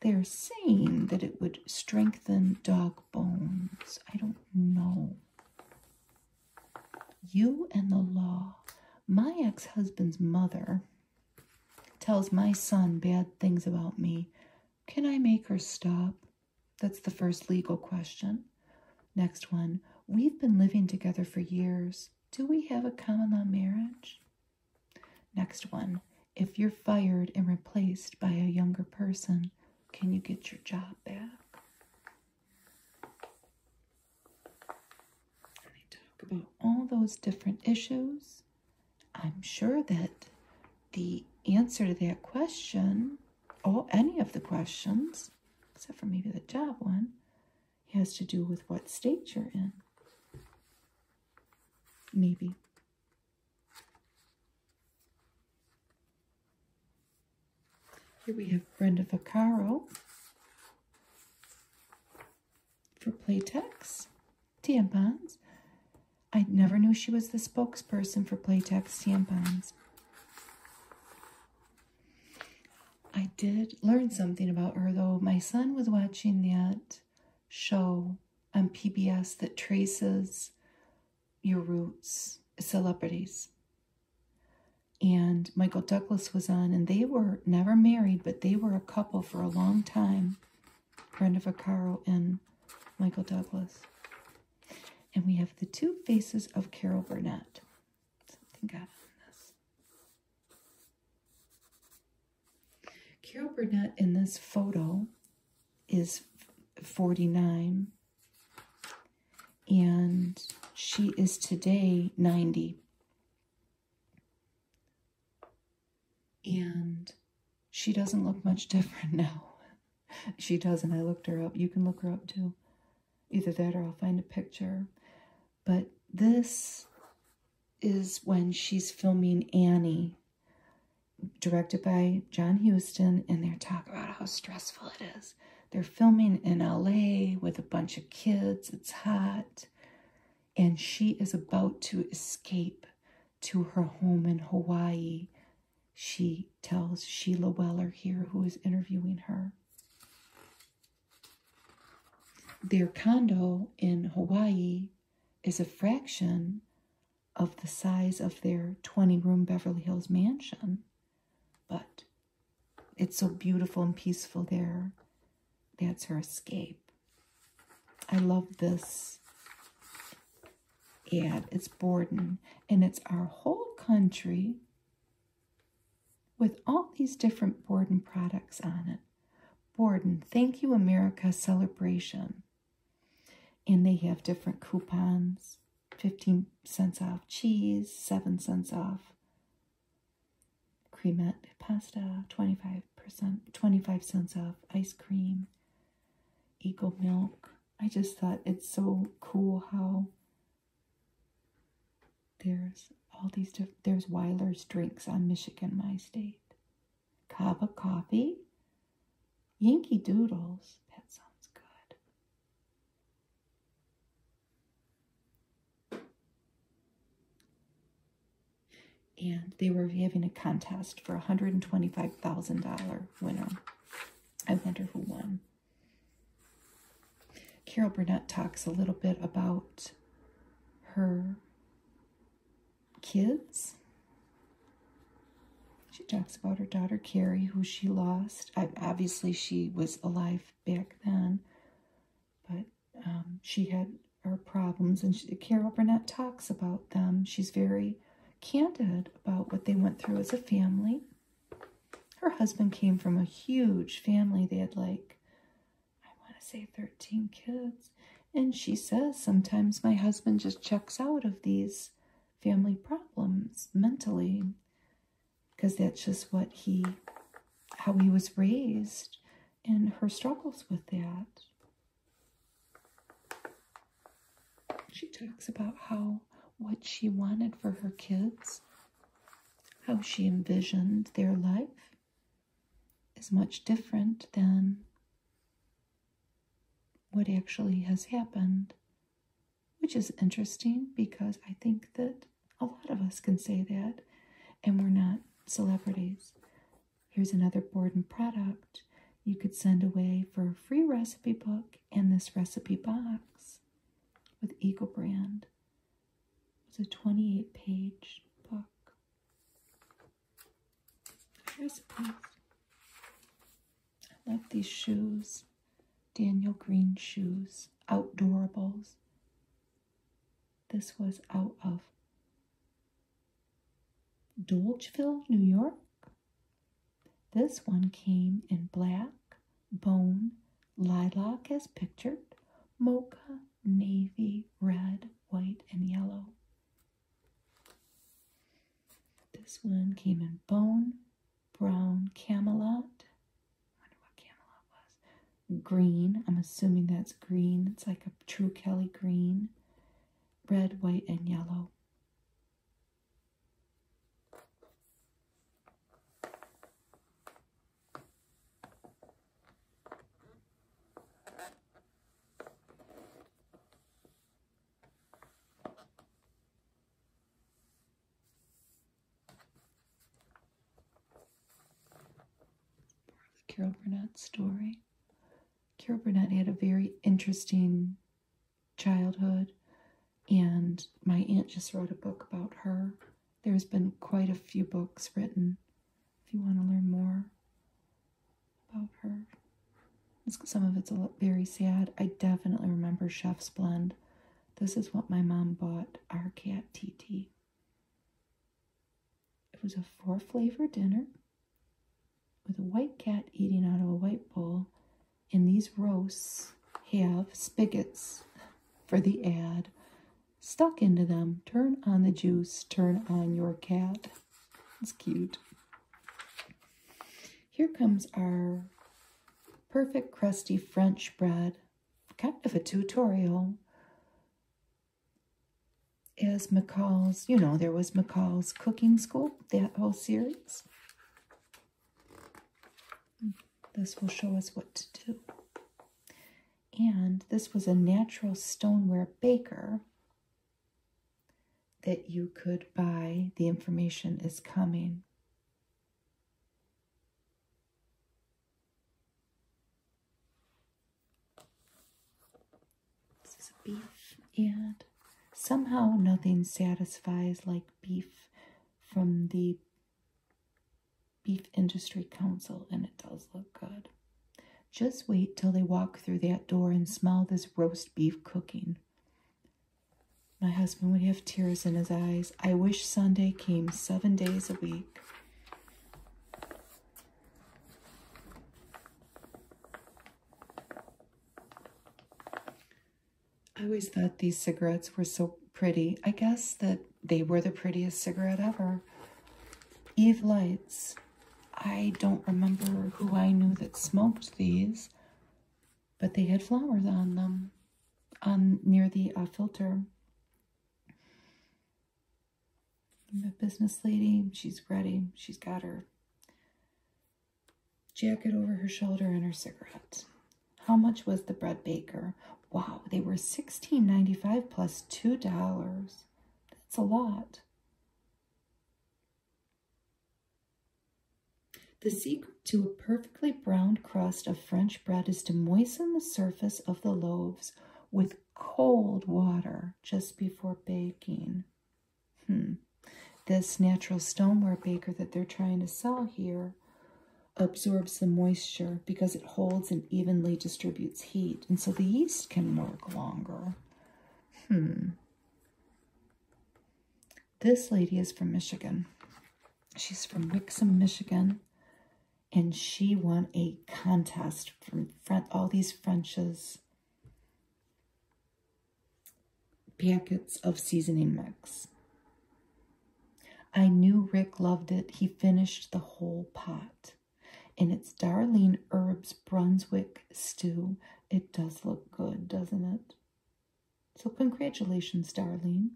they're saying that it would strengthen dog bones. I don't know. You and the law. My ex husband's mother tells my son bad things about me. Can I make her stop? That's the first legal question. Next one. We've been living together for years. Do we have a common law marriage? Next one. If you're fired and replaced by a younger person, can you get your job back? And talk about all those different issues. I'm sure that the answer to that question, or any of the questions, except for maybe the job one, has to do with what state you're in. Maybe. Here we have Brenda Vaccaro for Playtex tampons. I never knew she was the spokesperson for Playtex tampons. I did learn something about her though. My son was watching that show on PBS that traces your roots, celebrities. And Michael Douglas was on, and they were never married, but they were a couple for a long time. Brenda Vaccaro and Michael Douglas. And we have the two faces of Carol Burnett. Something got on this. Carol Burnett in this photo is 49 and she is today 90. And she doesn't look much different now. she does and I looked her up. You can look her up too. Either that or I'll find a picture. But this is when she's filming Annie directed by John Houston, and they talk about how stressful it is. They're filming in LA with a bunch of kids, it's hot, and she is about to escape to her home in Hawaii. She tells Sheila Weller here, who is interviewing her. Their condo in Hawaii is a fraction of the size of their 20 room Beverly Hills mansion, but it's so beautiful and peaceful there. That's her escape. I love this ad. It's Borden, and it's our whole country with all these different Borden products on it. Borden, Thank You America Celebration. And they have different coupons 15 cents off cheese, 7 cents off cremette pasta, 25%, 25 cents off ice cream, Eagle milk. I just thought it's so cool how there's all these different, there's Weiler's drinks on Michigan, my state cup of coffee, Yankee Doodles. That sounds good. And they were having a contest for a $125,000 winner. I wonder who won. Carol Burnett talks a little bit about her kids. She talks about her daughter Carrie, who she lost. obviously, she was alive back then, but um, she had her problems, and Carol Burnett talks about them. She's very candid about what they went through as a family. Her husband came from a huge family. They had like, I want to say 13 kids. And she says, sometimes my husband just checks out of these family problems mentally because that's just what he how he was raised and her struggles with that she talks about how what she wanted for her kids how she envisioned their life is much different than what actually has happened, which is interesting because I think that a lot of us can say that and we're not celebrities. Here's another Borden product you could send away for a free recipe book and this recipe box with Eagle Brand. It's a 28 page book. I love these shoes. Daniel Green shoes. Outdoorables. This was out of Dolgeville, New York. This one came in black, bone, lilac as pictured, mocha, navy, red, white, and yellow. This one came in bone, brown camelot. I wonder what camelot was. Green. I'm assuming that's green. It's like a true Kelly green. Red, white, and yellow. Part Carol Burnett story. Carol Burnett had a very interesting childhood, and my aunt just wrote a book about her. There's been quite a few books written if you want to learn more about her. Some of it's very sad. I definitely remember Chef's Blend. This is what my mom bought our cat TT. It was a four flavor dinner with a white cat eating out of a white bowl, and these roasts have spigots for the ad stuck into them. Turn on the juice, turn on your cat. It's cute. Here comes our perfect crusty French bread, kind of a tutorial. Is McCall's, you know, there was McCall's Cooking School, that whole series. This will show us what to do. And this was a natural stoneware baker that you could buy. The information is coming. This is beef, and somehow nothing satisfies like beef from the Beef Industry Council, and it does look good. Just wait till they walk through that door and smell this roast beef cooking. My husband would have tears in his eyes. I wish Sunday came seven days a week. I always thought these cigarettes were so pretty. I guess that they were the prettiest cigarette ever. Eve Lights. I don't remember who I knew that smoked these but they had flowers on them on near the uh, filter. The business lady, she's ready. She's got her jacket over her shoulder and her cigarette. How much was the bread baker? Wow, they were sixteen ninety five $2. That's a lot. The secret to a perfectly browned crust of French bread is to moisten the surface of the loaves with cold water just before baking. Hmm. This natural stoneware baker that they're trying to sell here absorbs the moisture because it holds and evenly distributes heat, and so the yeast can work longer. Hmm. This lady is from Michigan. She's from Wixom, Michigan. And she won a contest from all these French's packets of seasoning mix. I knew Rick loved it. He finished the whole pot. And it's Darlene Herbs Brunswick stew. It does look good, doesn't it? So, congratulations, darling.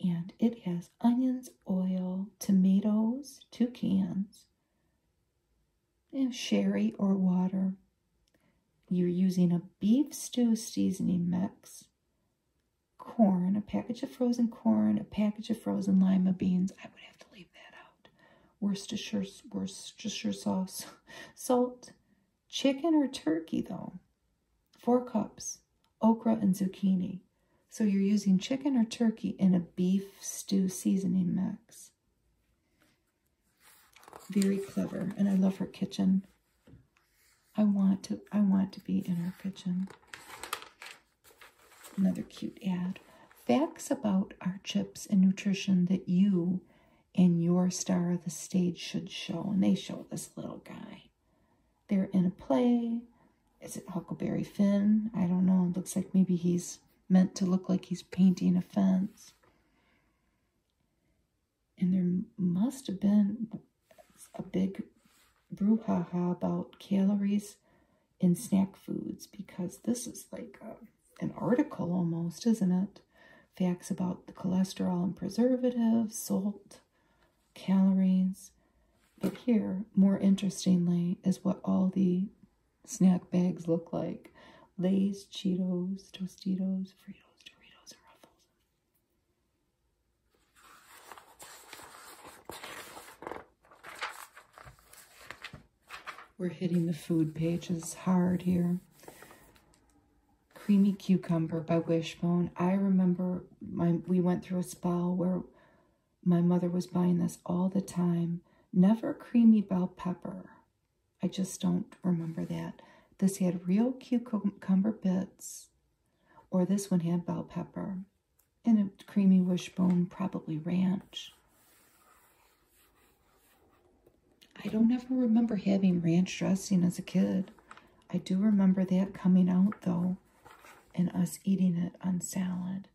And it has onions, oil, tomatoes, two cans, and sherry or water. You're using a beef stew seasoning mix, corn, a package of frozen corn, a package of frozen lima beans. I would have to leave that out. Worcestershire, Worcestershire sauce, salt, Chicken or turkey, though? Four cups, okra and zucchini. So you're using chicken or turkey in a beef stew seasoning mix. Very clever, and I love her kitchen. I want to I want to be in her kitchen. Another cute ad. Facts about our chips and nutrition that you and your star of the stage should show. And they show this little guy. They're in a play. Is it Huckleberry Finn? I don't know. looks like maybe he's meant to look like he's painting a fence. And there must have been a big brouhaha about calories in snack foods because this is like a an article almost, isn't it? Facts about the cholesterol and preservatives, salt, calories. But here, more interestingly, is what all the snack bags look like. Lay's, Cheetos, Tostitos, Fritos, Doritos, and Ruffles. We're hitting the food pages hard here. Creamy Cucumber by Wishbone. I remember my we went through a spell where my mother was buying this all the time. Never Creamy Bell Pepper. I just don't remember that. This had real cucumber bits, or this one had bell pepper, and a creamy wishbone, probably ranch. I don't ever remember having ranch dressing as a kid. I do remember that coming out though and us eating it on salad.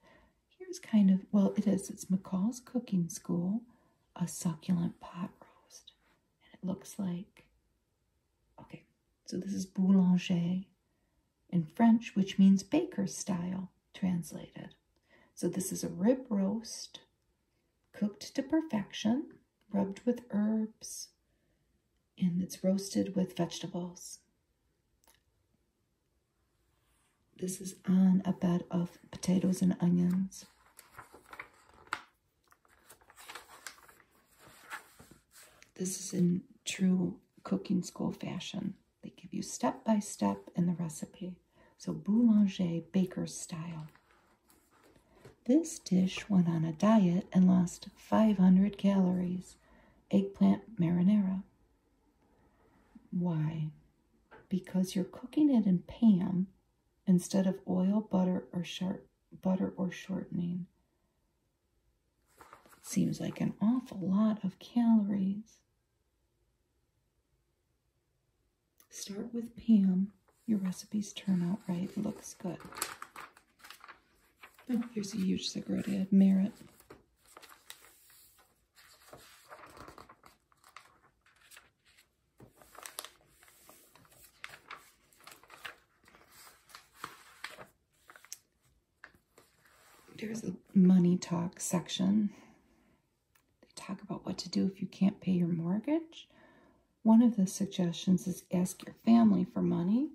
Here's kind of, well, it is. It's McCall's Cooking School, a succulent pot roast. And it looks like, okay, so this is boulanger in French, which means baker's style translated. So this is a rib roast cooked to perfection, rubbed with herbs, and it's roasted with vegetables. This is on a bed of potatoes and onions. This is in true cooking school fashion. They give you step by step in the recipe. So boulanger baker's style. This dish went on a diet and lost 500 calories. Eggplant marinara. Why? Because you're cooking it in Pam instead of oil, butter, or sharp butter or shortening. Seems like an awful lot of calories. Start with Pam. Your recipes turn out right. Looks good. Oh, here's a huge cigarette ad. Merit. There's the money talk section. They talk about what to do if you can't pay your mortgage. One of the suggestions is ask your family for money.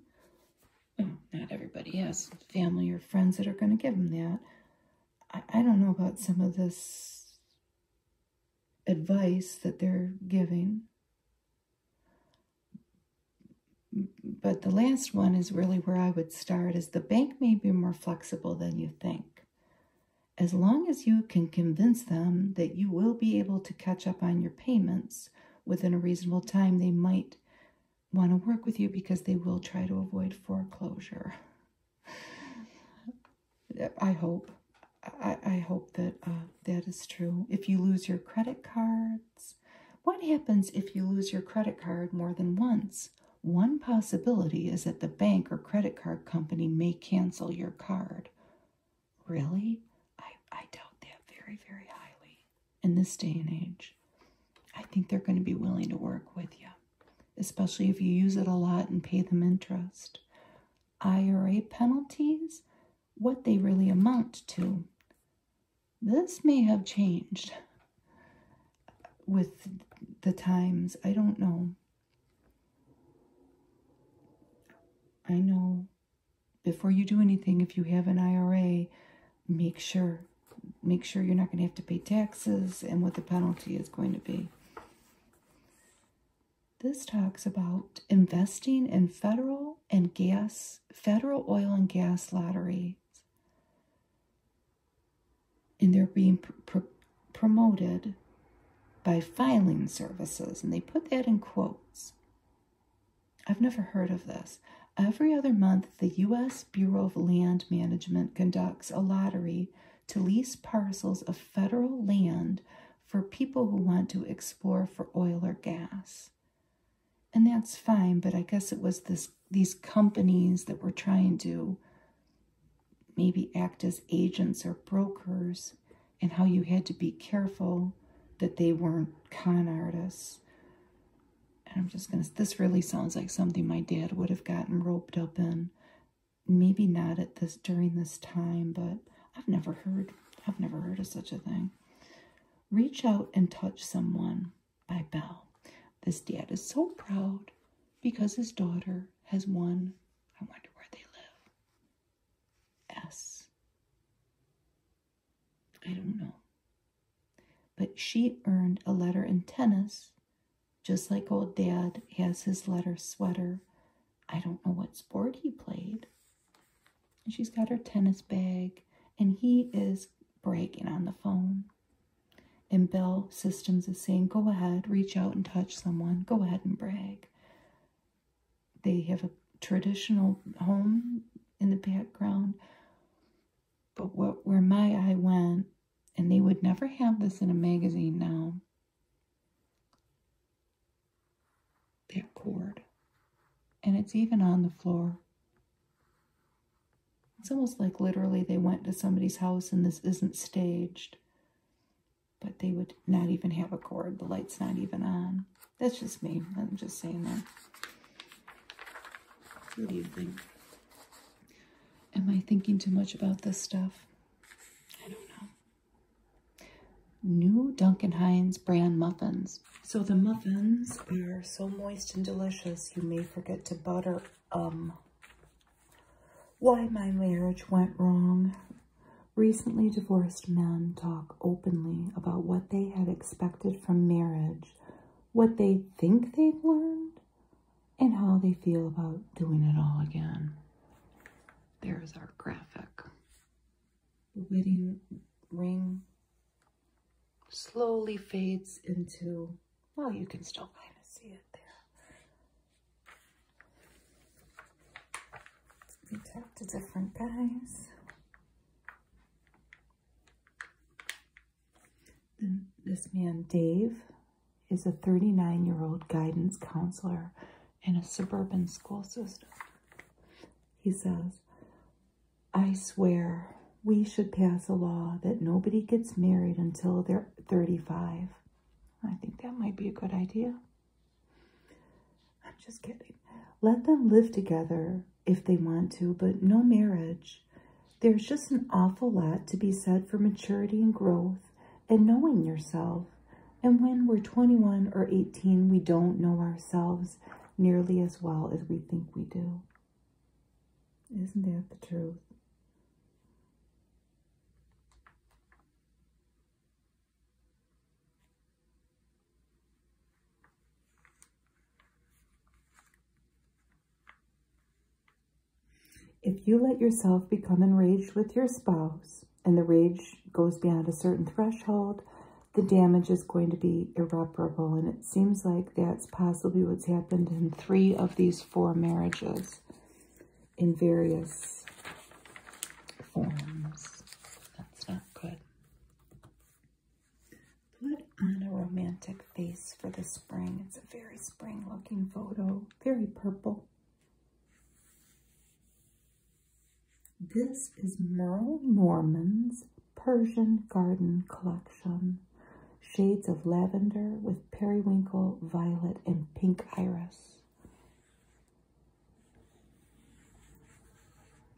not everybody has family or friends that are going to give them that. I don't know about some of this advice that they're giving. But the last one is really where I would start is the bank may be more flexible than you think. As long as you can convince them that you will be able to catch up on your payments within a reasonable time, they might want to work with you because they will try to avoid foreclosure. I hope. I, I hope that uh, that is true. If you lose your credit cards, what happens if you lose your credit card more than once? One possibility is that the bank or credit card company may cancel your card. Really? I, I doubt that very, very highly in this day and age. I think they're going to be willing to work with you, especially if you use it a lot and pay them interest. IRA penalties, what they really amount to. This may have changed with the times. I don't know. I know before you do anything, if you have an IRA, make sure make sure you're not going to have to pay taxes and what the penalty is going to be. This talks about investing in federal and gas, federal oil and gas lotteries. And they're being promoted by filing services, and they put that in quotes. I've never heard of this. Every other month, the U.S. Bureau of Land Management conducts a lottery to lease parcels of federal land for people who want to explore for oil or gas. And that's fine, but I guess it was this these companies that were trying to maybe act as agents or brokers and how you had to be careful that they weren't con artists. And I'm just going to, this really sounds like something my dad would have gotten roped up in. Maybe not at this, during this time, but I've never heard, I've never heard of such a thing. Reach out and touch someone by Bell. This dad is so proud because his daughter has won. I wonder where they live. S. I don't know. But she earned a letter in tennis, just like old dad has his letter sweater. I don't know what sport he played. she's got her tennis bag, and he is bragging on the phone. And Bill Systems is saying, go ahead, reach out and touch someone. Go ahead and brag. They have a traditional home in the background. But what where my eye went, and they would never have this in a magazine now. That cord. And it's even on the floor. It's almost like literally they went to somebody's house and this isn't staged but they would not even have a cord. The light's not even on. That's just me. I'm just saying that. What do you think? Am I thinking too much about this stuff? I don't know. New Duncan Hines brand muffins. So the muffins are so moist and delicious, you may forget to butter um why my marriage went wrong Recently divorced men talk openly about what they had expected from marriage, what they think they've learned, and how they feel about doing it all again. There's our graphic. The wedding ring slowly fades into, well, you can still kind of see it there. We talked to different guys. this man, Dave, is a 39 year old guidance counselor in a suburban school system. He says, I swear we should pass a law that nobody gets married until they're 35. I think that might be a good idea. I'm just kidding. Let them live together if they want to, but no marriage. There's just an awful lot to be said for maturity and growth and knowing yourself. And when we're 21 or 18, we don't know ourselves nearly as well as we think we do. Isn't that the truth? If you let yourself become enraged with your spouse and the rage goes beyond a certain threshold, the damage is going to be irreparable. And it seems like that's possibly what's happened in three of these four marriages in various forms. It's not good. Put on a romantic face for the spring. It's a very spring looking photo, very purple. This is Merle Norman's Persian Garden Collection. Shades of lavender with periwinkle, violet, and pink iris.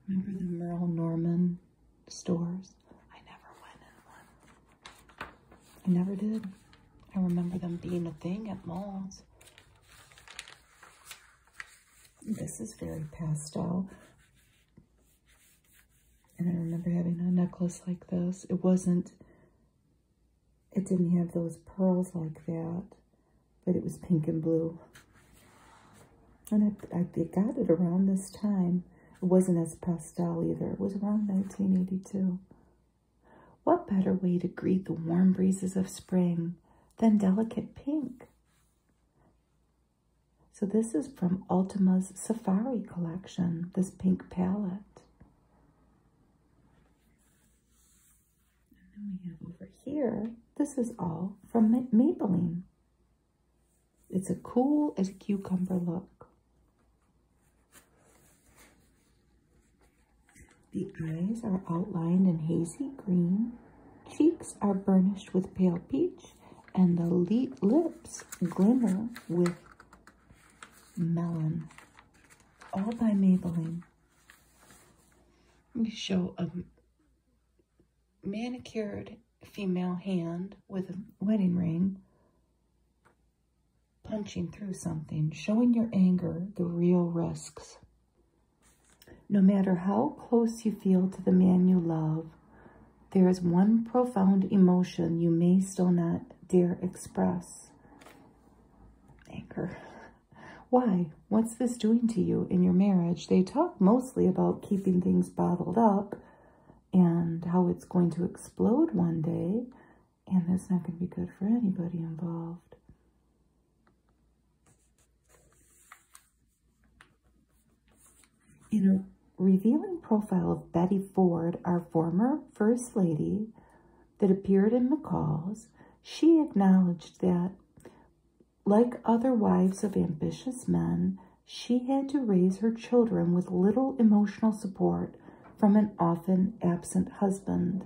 Remember the Merle Norman stores? I never went in one. I never did. I remember them being a thing at malls. This is very pastel. And I remember having a necklace like this. It wasn't, it didn't have those pearls like that but it was pink and blue. And I, got it around this time. It wasn't as pastel either. It was around 1982. What better way to greet the warm breezes of spring than delicate pink? So this is from Ultima's Safari collection, this pink palette then we have over here, this is all from Maybelline. It's a cool as a cucumber look. The eyes are outlined in hazy green, cheeks are burnished with pale peach, and the lips glimmer with melon, all by Maybelline. Let me show a, manicured female hand with a wedding ring punching through something, showing your anger the real risks. No matter how close you feel to the man you love, there is one profound emotion you may still not dare express. Anger. Why? What's this doing to you in your marriage? They talk mostly about keeping things bottled up and how it's going to explode one day, and that's not going to be good for anybody involved. In a revealing profile of Betty Ford, our former First Lady, that appeared in McCall's, she acknowledged that like other wives of ambitious men, she had to raise her children with little emotional support from an often absent husband.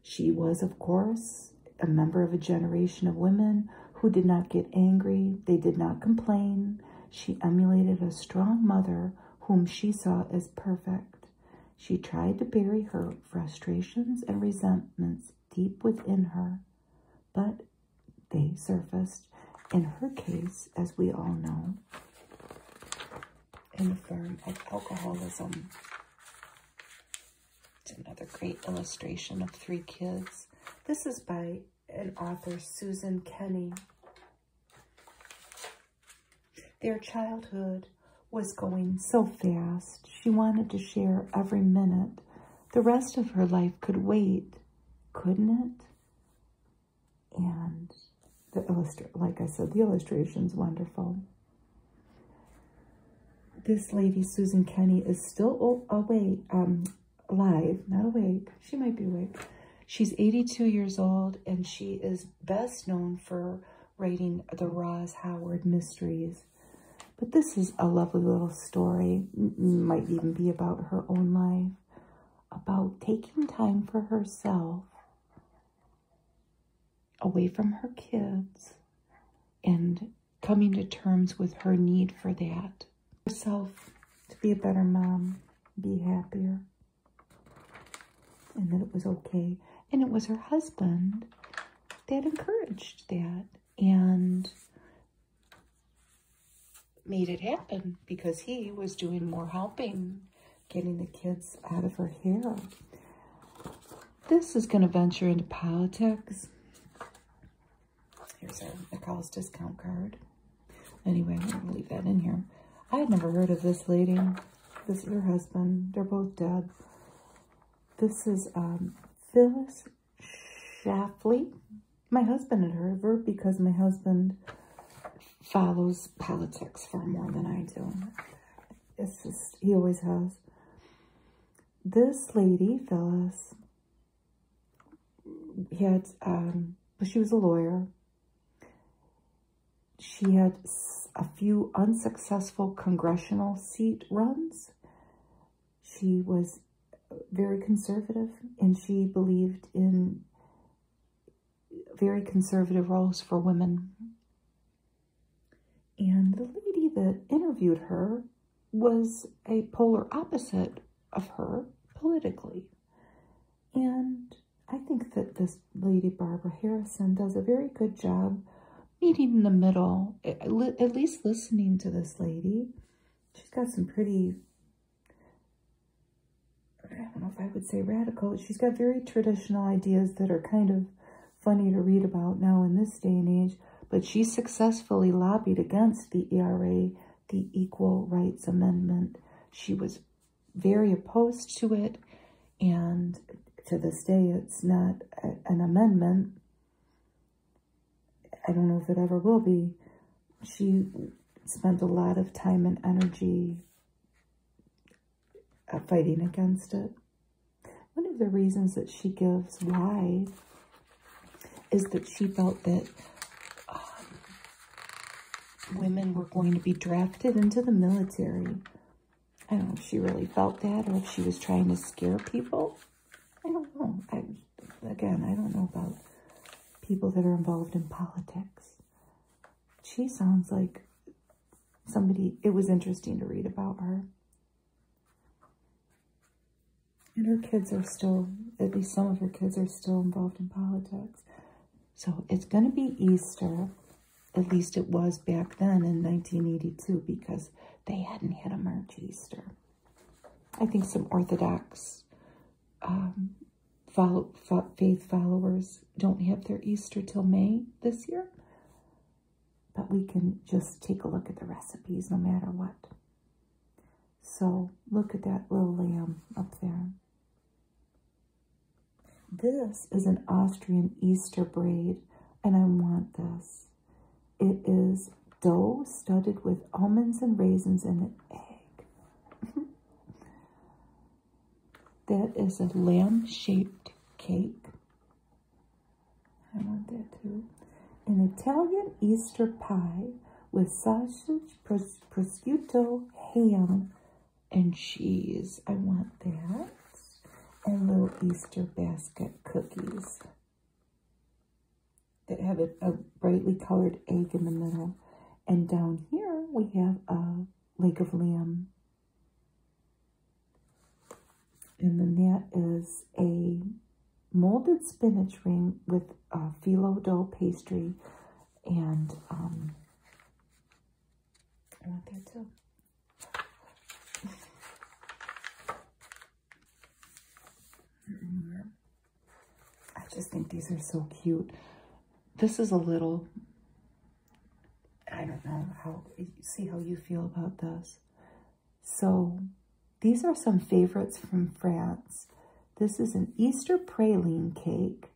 She was, of course, a member of a generation of women who did not get angry, they did not complain. She emulated a strong mother whom she saw as perfect. She tried to bury her frustrations and resentments deep within her, but they surfaced in her case, as we all know, in the form of alcoholism. It's another great illustration of three kids. This is by an author, Susan Kenny. Their childhood was going so fast. She wanted to share every minute. The rest of her life could wait, couldn't it? And the illustrate, like I said, the illustration's wonderful. This lady, Susan Kenny, is still awake, um, alive, not awake. She might be awake. She's 82 years old, and she is best known for Writing the Roz Howard Mysteries. But this is a lovely little story, might even be about her own life, about taking time for herself away from her kids and coming to terms with her need for that. Herself to be a better mom, be happier, and that it was okay. And it was her husband that encouraged that and made it happen because he was doing more helping getting the kids out of her hair. This is going to venture into politics. Here's a Nicole's discount card. Anyway, I'm going to leave that in here. I had never heard of this lady. This is her husband. They're both dead. This is um, Phyllis Shafley. My husband had heard of her because my husband follows politics far more than I do. It's just, he always has. This lady, Phyllis, had, um, she was a lawyer. She had a few unsuccessful congressional seat runs. She was very conservative and she believed in very conservative roles for women. And the lady that interviewed her was a polar opposite of her politically. And I think that this lady, Barbara Harrison, does a very good job meeting in the middle, at least listening to this lady. She's got some pretty, I don't know if I would say radical. She's got very traditional ideas that are kind of funny to read about now in this day and age. But she successfully lobbied against the ERA, the Equal Rights Amendment. She was very opposed to it. And to this day, it's not an amendment. I don't know if it ever will be. She spent a lot of time and energy uh, fighting against it. One of the reasons that she gives why is that she felt that um, women were going to be drafted into the military I don't know if she really felt that or if she was trying to scare people. I don't know. I, again, I don't know about people that are involved in politics. She sounds like somebody, it was interesting to read about her. And her kids are still, at least some of her kids are still involved in politics. So it's going to be Easter. At least it was back then in 1982 because they hadn't had a March Easter. I think some Orthodox um, follow, faith followers don't have their Easter till May this year. But we can just take a look at the recipes no matter what. So look at that little lamb up there. This is an Austrian Easter braid, and I want this. It is dough studded with almonds and raisins and an egg. that is a lamb shaped cake. I want that too. An Italian Easter pie with sausage, prosciutto, ham, and cheese. I want that and little Easter basket cookies that have a, brightly colored egg in the middle. And down here we have a leg of lamb. And then that is a molded spinach ring with uh, phyllo dough pastry and um, I want that too. I just think these are so cute. This is a little, I don't know how, see how you feel about this. So these are some favorites from France. This is an Easter praline cake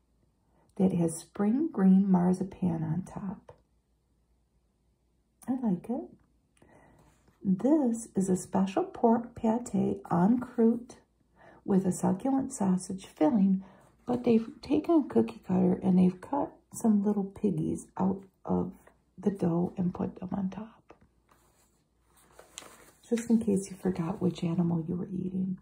that has spring green marzipan on top. I like it. This is a special pork pate en croûte with a succulent sausage filling, but they've taken a cookie cutter and they've cut some little piggies out of the dough and put them on top. Just in case you forgot which animal you were eating.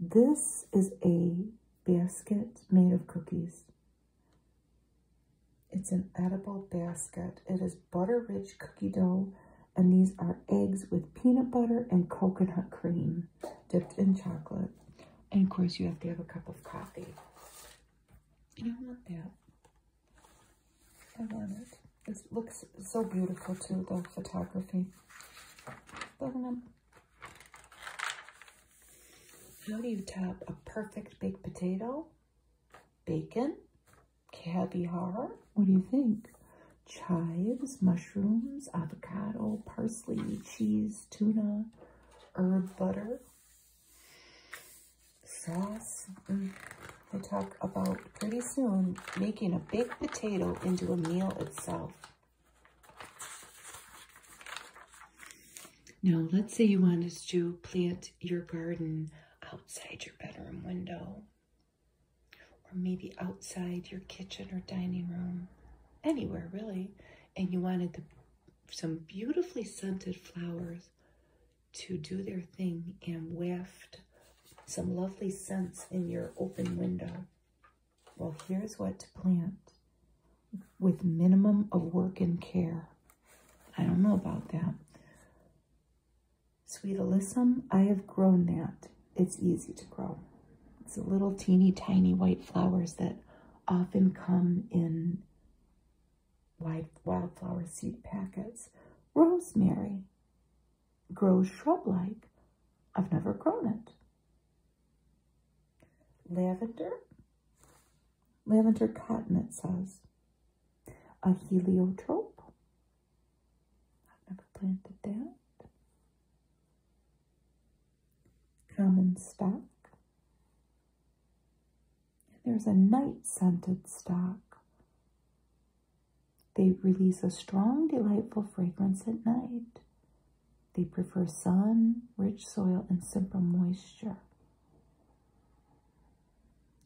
This is a basket made of cookies. It's an edible basket. It is butter rich cookie dough, and these are eggs with peanut butter and coconut cream dipped in chocolate. And of course, you have to have a cup of coffee. And I want that. I want it. It looks so beautiful too, the photography. How do you top a perfect baked potato? bacon, caviar. What do you think? Chives, mushrooms, avocado, parsley, cheese, tuna, herb butter, sauce. Mm. I talk about pretty soon making a baked potato into a meal itself. Now, let's say you wanted to plant your garden outside your bedroom window, or maybe outside your kitchen or dining room, anywhere really, and you wanted some beautifully scented flowers to do their thing and waft some lovely scents in your open window. Well, here's what to plant with minimum of work and care. I don't know about that. Sweet Alyssum, I have grown that. It's easy to grow. It's the little teeny tiny white flowers that often come in wild, wildflower seed packets. Rosemary grows shrub-like. I've never grown it. Lavender, Lavender cotton, it says. A heliotrope. I've never planted that. Common stock. there's a night scented stock. They release a strong, delightful fragrance at night. They prefer sun, rich soil, and simple moisture.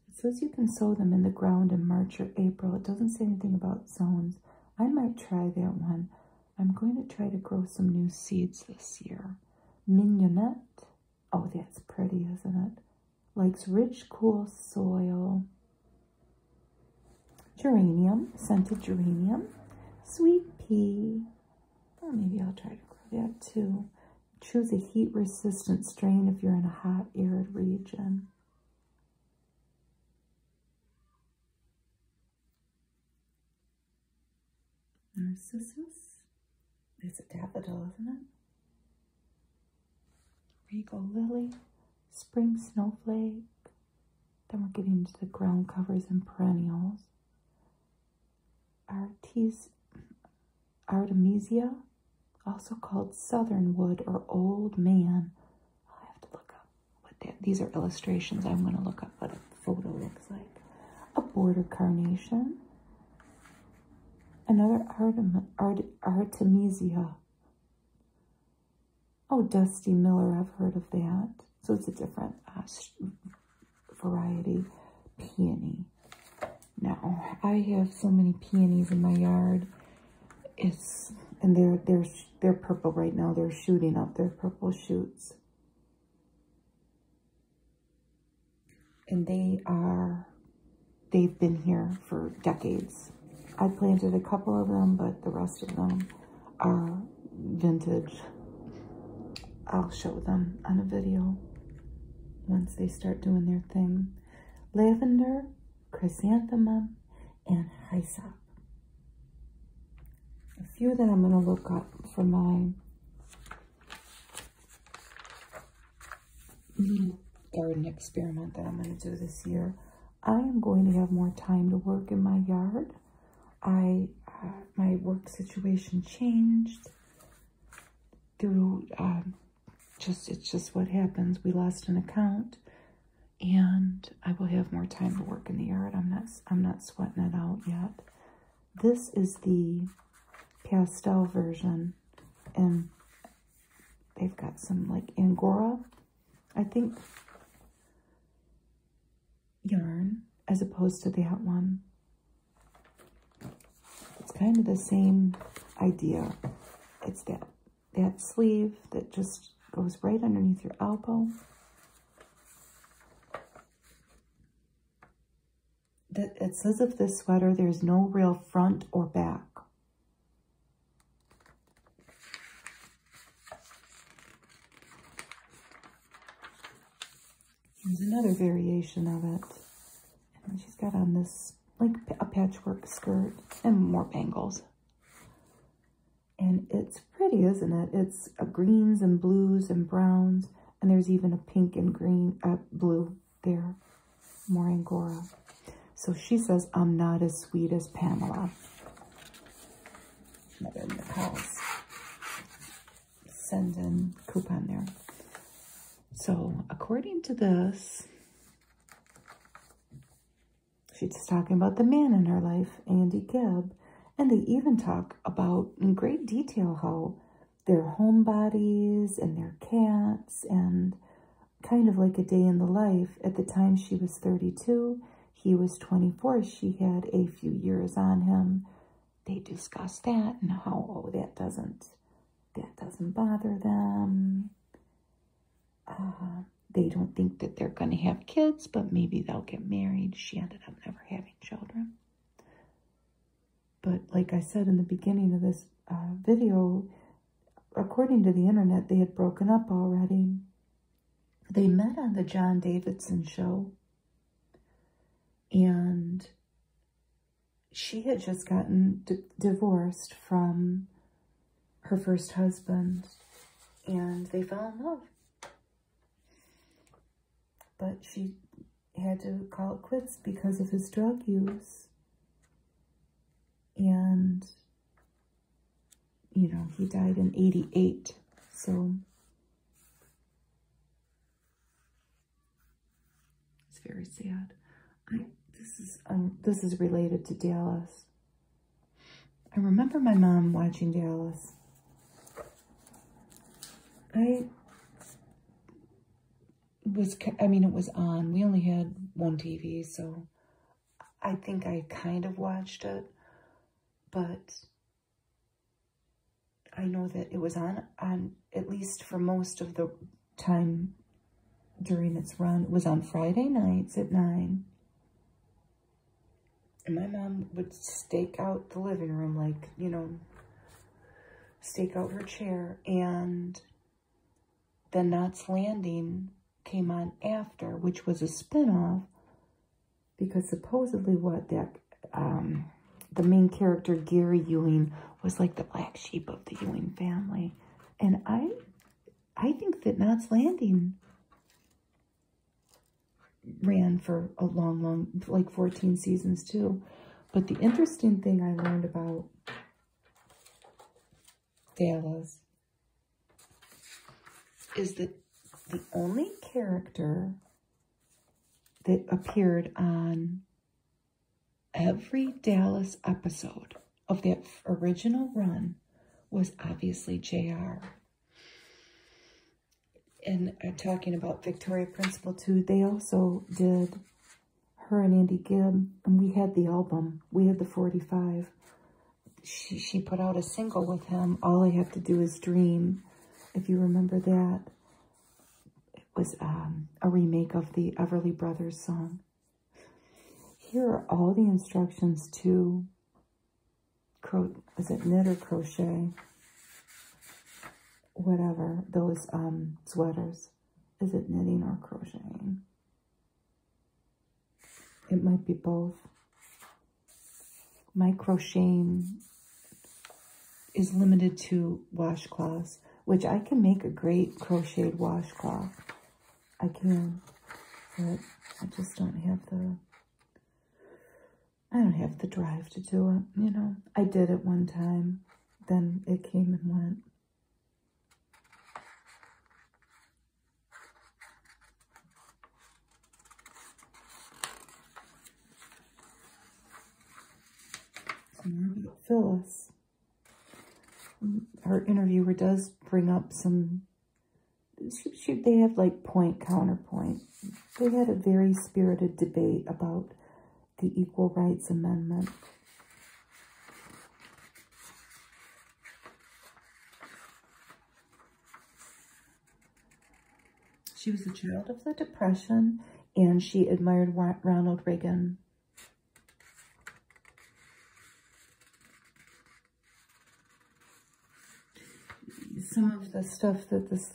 It says you can sow them in the ground in March or April. It doesn't say anything about zones. I might try that one. I'm going to try to grow some new seeds this year. Mignonette. Oh, that's pretty, isn't it? Likes rich, cool soil. Geranium, scented geranium. Sweet pea. Or oh, maybe I'll try to grow that too. Choose a heat-resistant strain if you're in a hot, arid region. Narcissus. It's a daffodil, isn't it? Regal lily. Spring snowflake. Then we're getting into the ground covers and perennials. Artis Artemisia, also called Southernwood or Old Man. i have to look up what these are illustrations. I'm going to look up what a photo looks like. A border carnation. Another Artem, Artemisia. Oh, Dusty Miller, I've heard of that. So it's a different uh, variety peony. Now, I have so many peonies in my yard. It's and they're they're they're purple right now. They're shooting up. They're purple shoots. And they are they've been here for decades. I planted a couple of them, but the rest of them are vintage. I'll show them on a video once they start doing their thing. Lavender, chrysanthemum, and hyssop. A few that I'm going to look up for my garden experiment that I'm going to do this year. I am going to have more time to work in my yard. I uh, my work situation changed through um, just it's just what happens. We lost an account, and I will have more time to work in the yard. I'm not I'm not sweating it out yet. This is the pastel version, and they've got some like angora, I think, yarn as opposed to that one. It's kind of the same idea. It's that, that sleeve that just goes right underneath your elbow. That It says of this sweater, there's no real front or back. There's another variation of it. And she's got on this, like a patchwork skirt and more bangles. And it's pretty, isn't it? It's uh, greens and blues and browns. And there's even a pink and green, uh, blue there. More Angora. So she says, I'm not as sweet as Pamela. send in coupon there. So according to this, she's talking about the man in her life, Andy Gibb, and they even talk about in great detail how their home bodies and their cats and kind of like a day in the life. At the time she was 32, he was 24. She had a few years on him. They discuss that and how, oh, that doesn't that doesn't bother them. Uh, they don't think that they're going to have kids, but maybe they'll get married. She ended up never having children. But like I said in the beginning of this uh, video, according to the internet, they had broken up already. They met on the John Davidson show. And she had just gotten divorced from her first husband and they fell in love. But she had to call it quits because of his drug use. And, you know, he died in 88. So it's very sad. I, this is um, this is related to Dallas. I remember my mom watching Dallas. I was, I mean, it was on. We only had one TV, so I think I kind of watched it, but I know that it was on on at least for most of the time during its run was on Friday nights at 9. And my mom would stake out the living room, like, you know, stake out her chair. And The Knots Landing came on after, which was a spinoff, because supposedly what that, um, the main character, Gary Ewing, was like the black sheep of the Ewing family. And I I think that Knott's Landing ran for a long, long, like 14 seasons too. But the interesting thing I learned about Dallas is that the only character that appeared on Every Dallas episode of that original run was obviously JR. And uh, talking about Victoria Principal too, they also did her and Andy Gibb, and we had the album. We had the 45. She, she put out a single with him, All I Have to Do Is Dream, if you remember that was um, a remake of the Everly Brothers song. Here are all the instructions to cro is it knit or crochet, whatever, those um, sweaters. Is it knitting or crocheting? It might be both. My crocheting is limited to washcloths which I can make a great crocheted washcloth. I can, but I just don't have the, I don't have the drive to do it, you know. I did it one time, then it came and went. Phyllis her interviewer does bring up some, she, they have like point, counterpoint. They had a very spirited debate about the Equal Rights Amendment. She was a child of the Depression, and she admired Ronald Reagan some of the stuff that this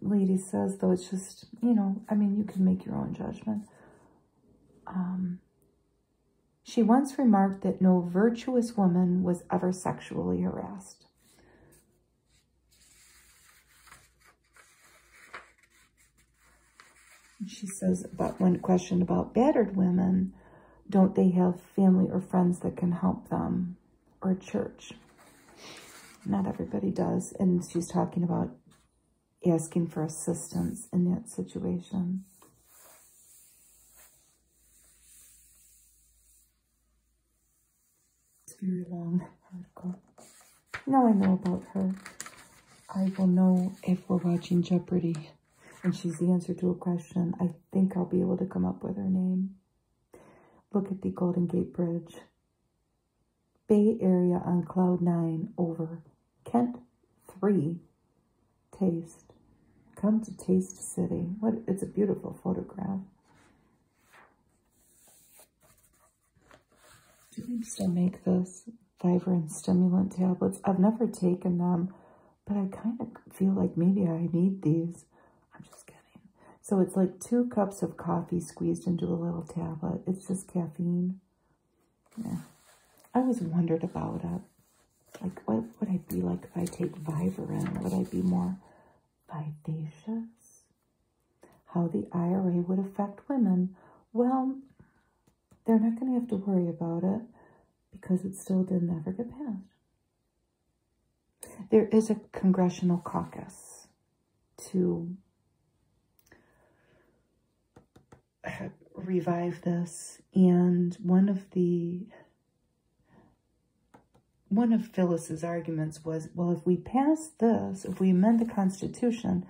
lady says, though, it's just, you know, I mean, you can make your own judgment. Um, she once remarked that no virtuous woman was ever sexually harassed. She says about one question about battered women, don't they have family or friends that can help them or church? Not everybody does. And she's talking about asking for assistance in that situation. It's very long article. Now I know about her. I will know if we're watching Jeopardy and she's the answer to a question. I think I'll be able to come up with her name. Look at the Golden Gate Bridge. Bay Area on cloud nine over Kent three. Taste. Come to Taste City. What? It's a beautiful photograph. Do we still make this? Vivarin stimulant tablets. I've never taken them, but I kind of feel like maybe I need these. I'm just kidding. So it's like two cups of coffee squeezed into a little tablet. It's just caffeine. Yeah. I always wondered about it. Like, what would I be like if I take Vivarin? Would I be more vivacious? How the IRA would affect women. Well, they're not going to have to worry about it because it still did never get passed. There is a congressional caucus to revive this and one of the one of Phyllis's arguments was well if we pass this if we amend the constitution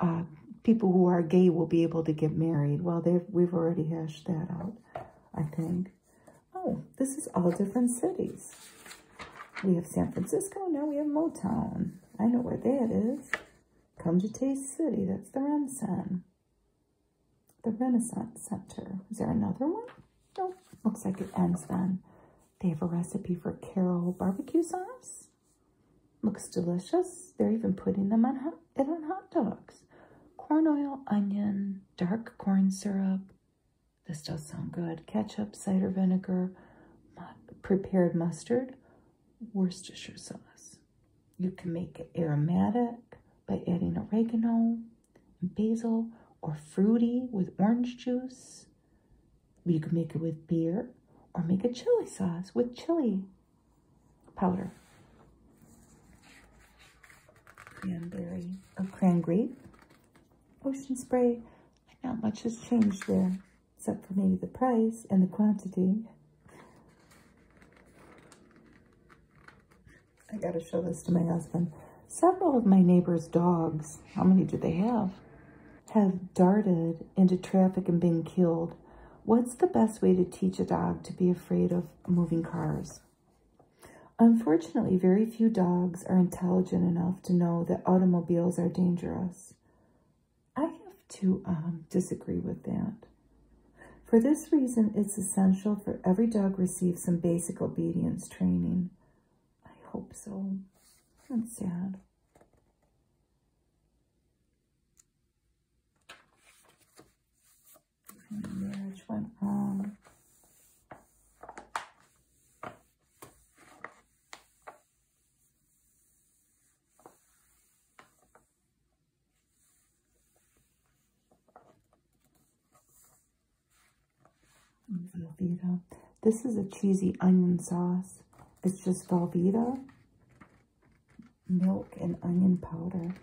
uh, people who are gay will be able to get married. Well, they've, we've already hashed that out, I think. Oh, this is all different cities. We have San Francisco, now we have Motown. I know where that is. Come to Taste City, that's the Renaissance. The Renaissance Center. Is there another one? No, looks like it ends then. They have a recipe for Carol barbecue sauce. Looks delicious. They're even putting them on hot, it on hot dogs. Corn oil, onion, dark corn syrup. This does sound good. Ketchup, cider vinegar, prepared mustard, Worcestershire sauce. You can make it aromatic by adding oregano, basil, or fruity with orange juice. You can make it with beer or make a chili sauce with chili powder. Cranberry or cran grape. Ocean spray. Not much has changed there, except for maybe the price and the quantity. I gotta show this to my husband. Several of my neighbor's dogs, how many do they have? Have darted into traffic and been killed What's the best way to teach a dog to be afraid of moving cars? Unfortunately, very few dogs are intelligent enough to know that automobiles are dangerous. I have to um, disagree with that. For this reason, it's essential for every dog receive some basic obedience training. I hope so. That's sad. Um, this is a cheesy onion sauce. It's just Velveeta milk and onion powder.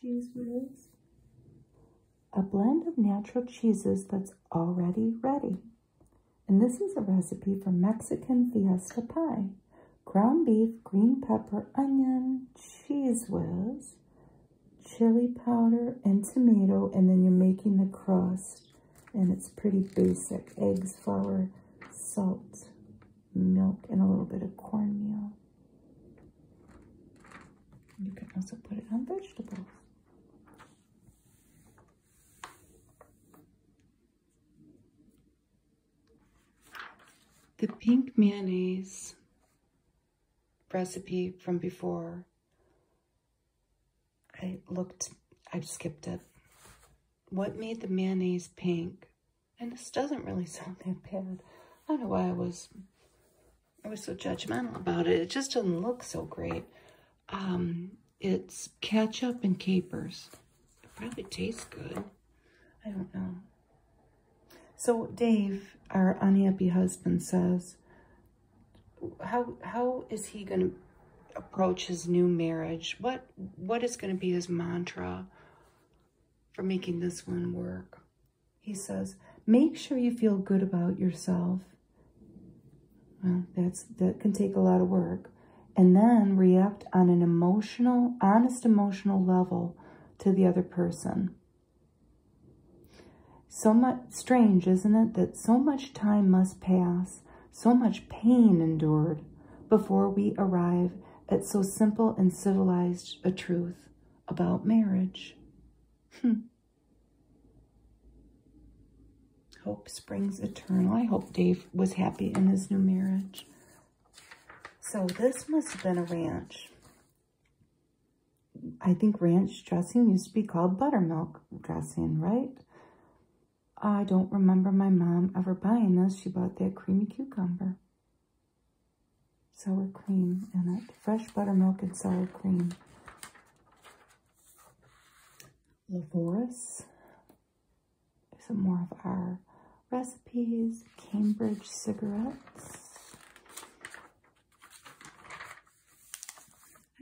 Cheese whiz. A blend of natural cheeses that's already ready. And this is a recipe for Mexican Fiesta Pie, ground beef, green pepper, onion, cheese whiz, chili powder, and tomato, and then you're making the crust, and it's pretty basic. Eggs, flour, salt, milk, and a little bit of cornmeal. You can also put it on vegetables. The pink mayonnaise recipe from before, I looked, I skipped it. What made the mayonnaise pink? And this doesn't really sound that bad. I don't know why I was, I was so judgmental about it. It just doesn't look so great. Um, it's ketchup and capers. It probably tastes good. I don't know. So Dave, our unhappy husband, says, how how is he going to approach his new marriage? What what is going to be his mantra for making this one work? He says, make sure you feel good about yourself. Well, that's that can take a lot of work and then react on an emotional, honest emotional level to the other person. So much strange, isn't it, that so much time must pass, so much pain endured before we arrive at so simple and civilized a truth about marriage. Hmm. Hope springs eternal. I hope Dave was happy in his new marriage. So this must have been a ranch. I think ranch dressing used to be called buttermilk dressing, right? I don't remember my mom ever buying this. She bought that creamy cucumber. Sour cream and Fresh buttermilk and sour cream. Lavoris some more of our recipes, Cambridge cigarettes.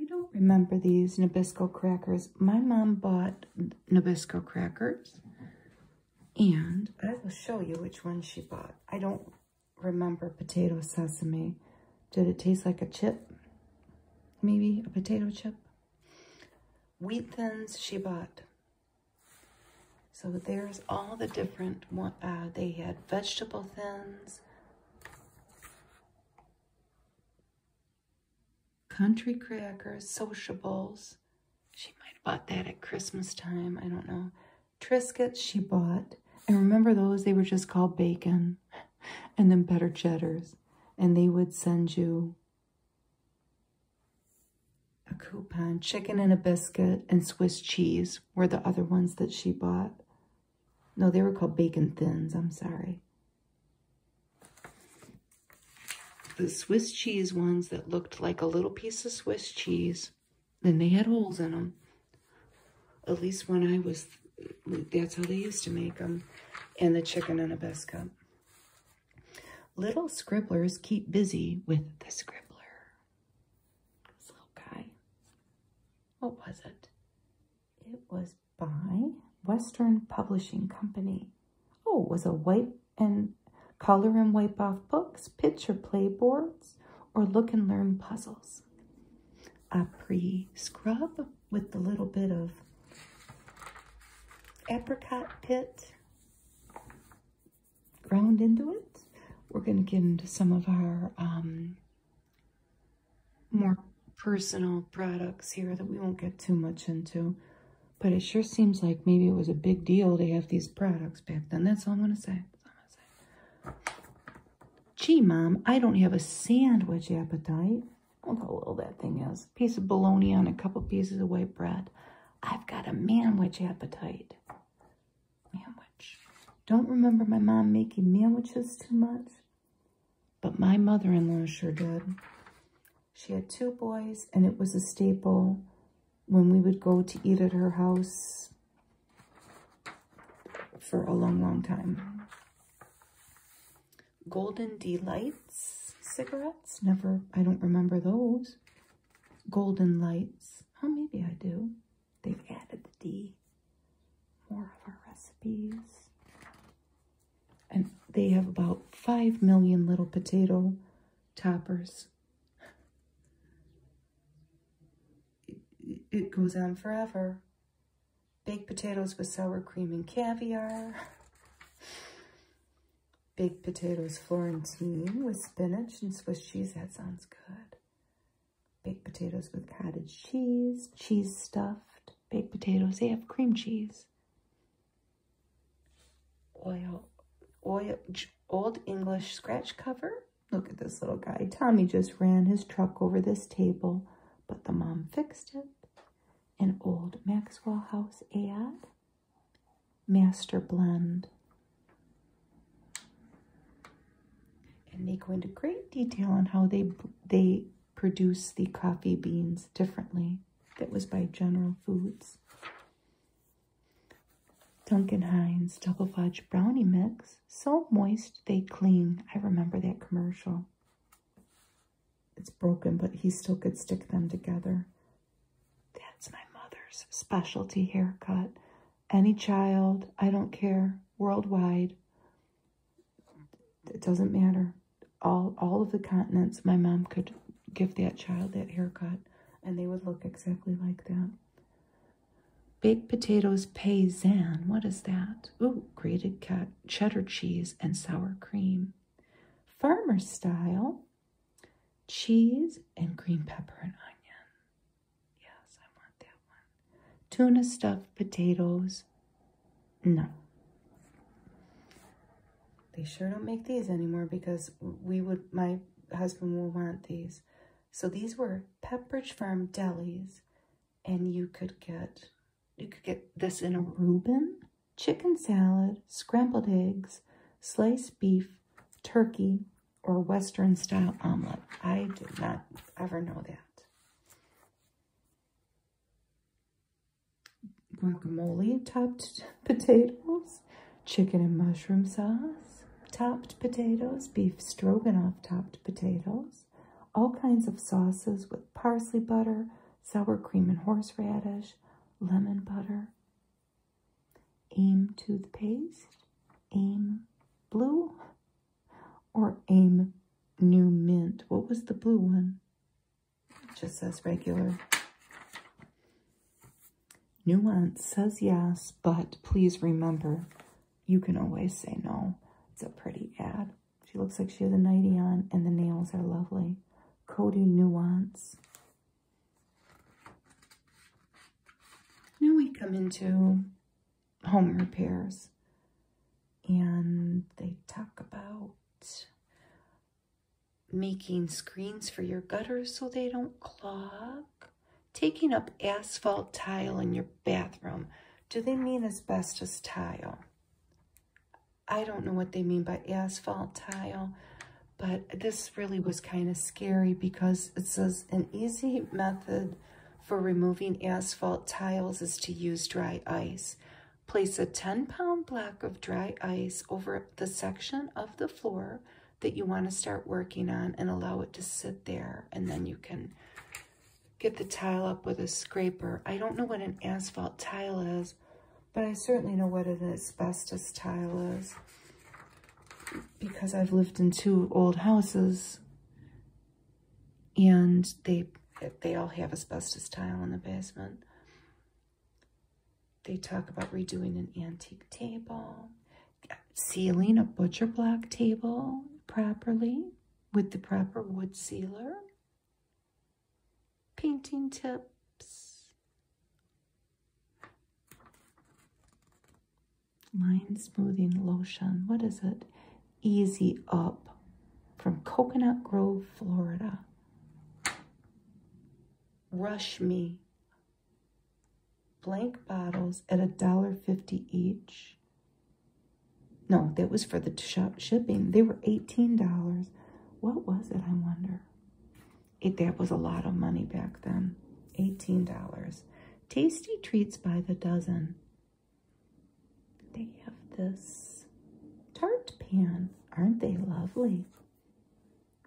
I don't remember these Nabisco crackers. My mom bought Nabisco crackers and I will show you which one she bought. I don't remember potato sesame. Did it taste like a chip? Maybe a potato chip? Wheat thins she bought. So there's all the different, uh, they had vegetable thins, country crackers, sociables. She might have bought that at Christmas time, I don't know. Triscuits she bought. And remember those, they were just called bacon and then better cheddars. And they would send you a coupon, chicken and a biscuit, and Swiss cheese were the other ones that she bought. No, they were called bacon thins. I'm sorry. The Swiss cheese ones that looked like a little piece of Swiss cheese, then they had holes in them. At least when I was, that's how they used to make them. And the chicken and a biscuit. Little scribblers keep busy with the scribbler. This little guy. What was it? It was by Western Publishing Company. Oh, it was a wipe and color and wipe off books, picture playboards, or look and learn puzzles. I pre-scrub with the little bit of apricot pit ground into it. We're going to get into some of our um, more personal products here that we won't get too much into. But it sure seems like maybe it was a big deal to have these products back then. That's all I'm going to say. say. Gee, Mom, I don't have a sandwich appetite. Look how little that thing is. Piece of bologna on a couple pieces of white bread. I've got a manwich appetite. Manwich. Don't remember my mom making manwiches too much, but my mother-in-law sure did. She had two boys, and it was a staple when we would go to eat at her house for a long, long time. Golden Delights cigarettes. Never, I don't remember those golden lights. Oh, maybe I do. They've added the D. More of our recipes. And they have about 5 million little potato toppers. It, it goes on forever. Baked potatoes with sour cream and caviar baked potatoes Florentine with spinach and Swiss cheese. That sounds good. Baked potatoes with cottage cheese, cheese stuffed, baked potatoes. They have cream cheese. Oil, oil, old English scratch cover. Look at this little guy. Tommy just ran his truck over this table, but the mom fixed it. An old Maxwell House ad master blend. And they go into great detail on how they they produce the coffee beans differently. That was by General Foods. Duncan Hines Double Fudge Brownie Mix. So moist they cling. I remember that commercial. It's broken, but he still could stick them together. That's my mother's specialty haircut. Any child, I don't care, worldwide. It doesn't matter. All, all of the continents, my mom could give that child that haircut and they would look exactly like that. Baked potatoes paysan. What is that? Ooh, grated cheddar cheese and sour cream. Farmer style cheese and green pepper and onion. Yes, I want that one. Tuna stuffed potatoes. No. They sure don't make these anymore because we would, my husband will want these. So these were Pepperidge Farm delis and you could get, you could get this in a Reuben, chicken salad, scrambled eggs, sliced beef, turkey, or Western style omelet. I did not ever know that. Guacamole topped potatoes, chicken and mushroom sauce, topped potatoes, beef stroganoff topped potatoes, all kinds of sauces with parsley butter, sour cream and horseradish, lemon butter, AIM toothpaste, AIM blue, or AIM new mint. What was the blue one? just says regular. Nuance says yes, but please remember, you can always say no. It's a pretty ad. She looks like she has a nightie on, and the nails are lovely. Cody Nuance. Now we come into home repairs and they talk about making screens for your gutters so they don't clog, taking up asphalt tile in your bathroom. Do they mean asbestos tile? I don't know what they mean by asphalt tile, but this really was kind of scary because it says an easy method for removing asphalt tiles is to use dry ice. Place a 10 pound block of dry ice over the section of the floor that you want to start working on and allow it to sit there and then you can get the tile up with a scraper. I don't know what an asphalt tile is, but I certainly know what an asbestos tile is because I've lived in two old houses and they they all have asbestos tile in the basement. They talk about redoing an antique table, sealing a butcher block table properly with the proper wood sealer, painting tips, Mind Smoothing Lotion. What is it? Easy Up from Coconut Grove, Florida. Rush Me. Blank bottles at a dollar fifty each. No, that was for the shop shipping. They were $18. What was it, I wonder? It, that was a lot of money back then. $18. Tasty treats by the dozen. They have this tart pan. Aren't they lovely?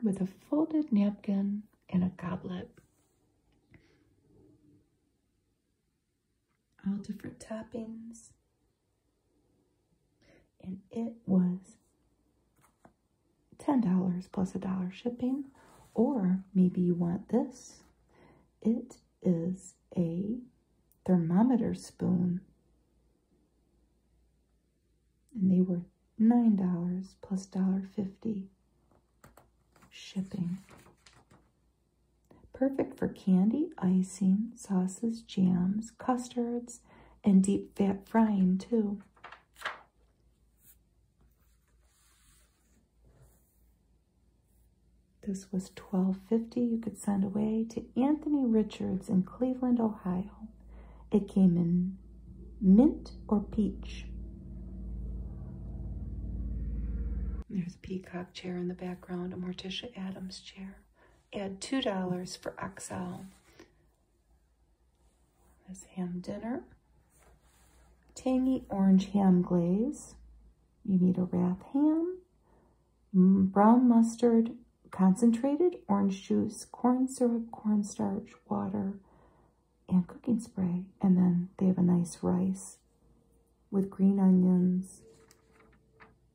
With a folded napkin and a goblet. All different toppings. And it was $10 plus a dollar shipping, or maybe you want this. It is a thermometer spoon, and they were $9 plus $1.50 shipping. Perfect for candy, icing, sauces, jams, custards, and deep fat frying too. This was twelve fifty. you could send away to Anthony Richards in Cleveland, Ohio. It came in mint or peach. There's a peacock chair in the background, a Morticia Adams chair. Add $2 for Oxal. There's ham dinner. Tangy orange ham glaze. You need a wrap ham, brown mustard, concentrated orange juice, corn syrup, cornstarch, water, and cooking spray. And then they have a nice rice with green onions,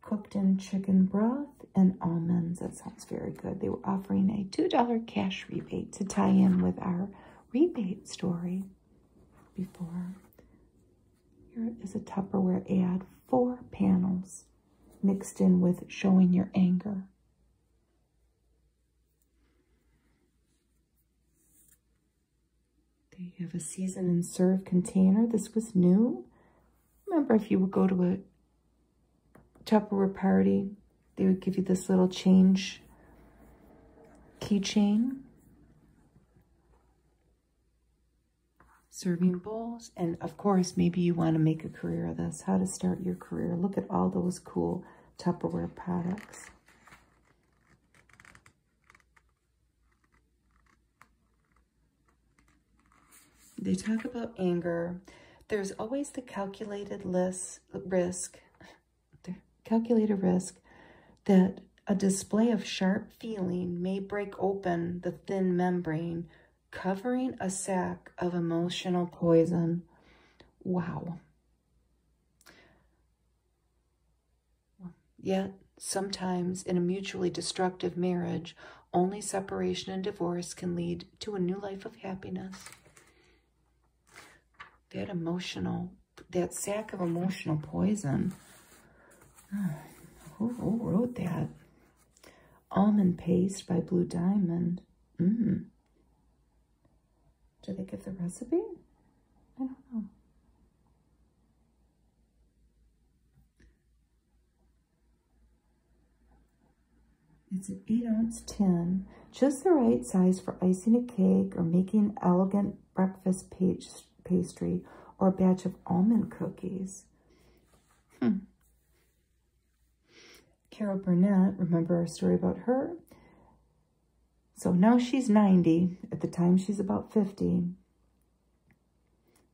cooked in chicken broth, and almonds. etc that's very good. They were offering a $2 cash rebate to tie in with our rebate story before. Here is a Tupperware ad, four panels mixed in with showing your anger. They have a season and serve container. This was new. Remember, if you would go to it. Tupperware party. They would give you this little change keychain. Serving bowls. And of course, maybe you want to make a career of this. How to start your career. Look at all those cool Tupperware products. They talk about anger. There's always the calculated list calculates risk, calculate a risk that a display of sharp feeling may break open the thin membrane, covering a sac of emotional poison. Wow. Yet, sometimes in a mutually destructive marriage, only separation and divorce can lead to a new life of happiness. That emotional, that sack of emotional poison. who, wrote that? Almond Paste by Blue Diamond. Mmm. Did they give the recipe? I don't know. It's an 8 ounce tin, just the right size for icing a cake or making elegant breakfast pastry or a batch of almond cookies. Hmm. Carol Burnett, remember our story about her? So now she's 90. At the time, she's about 50.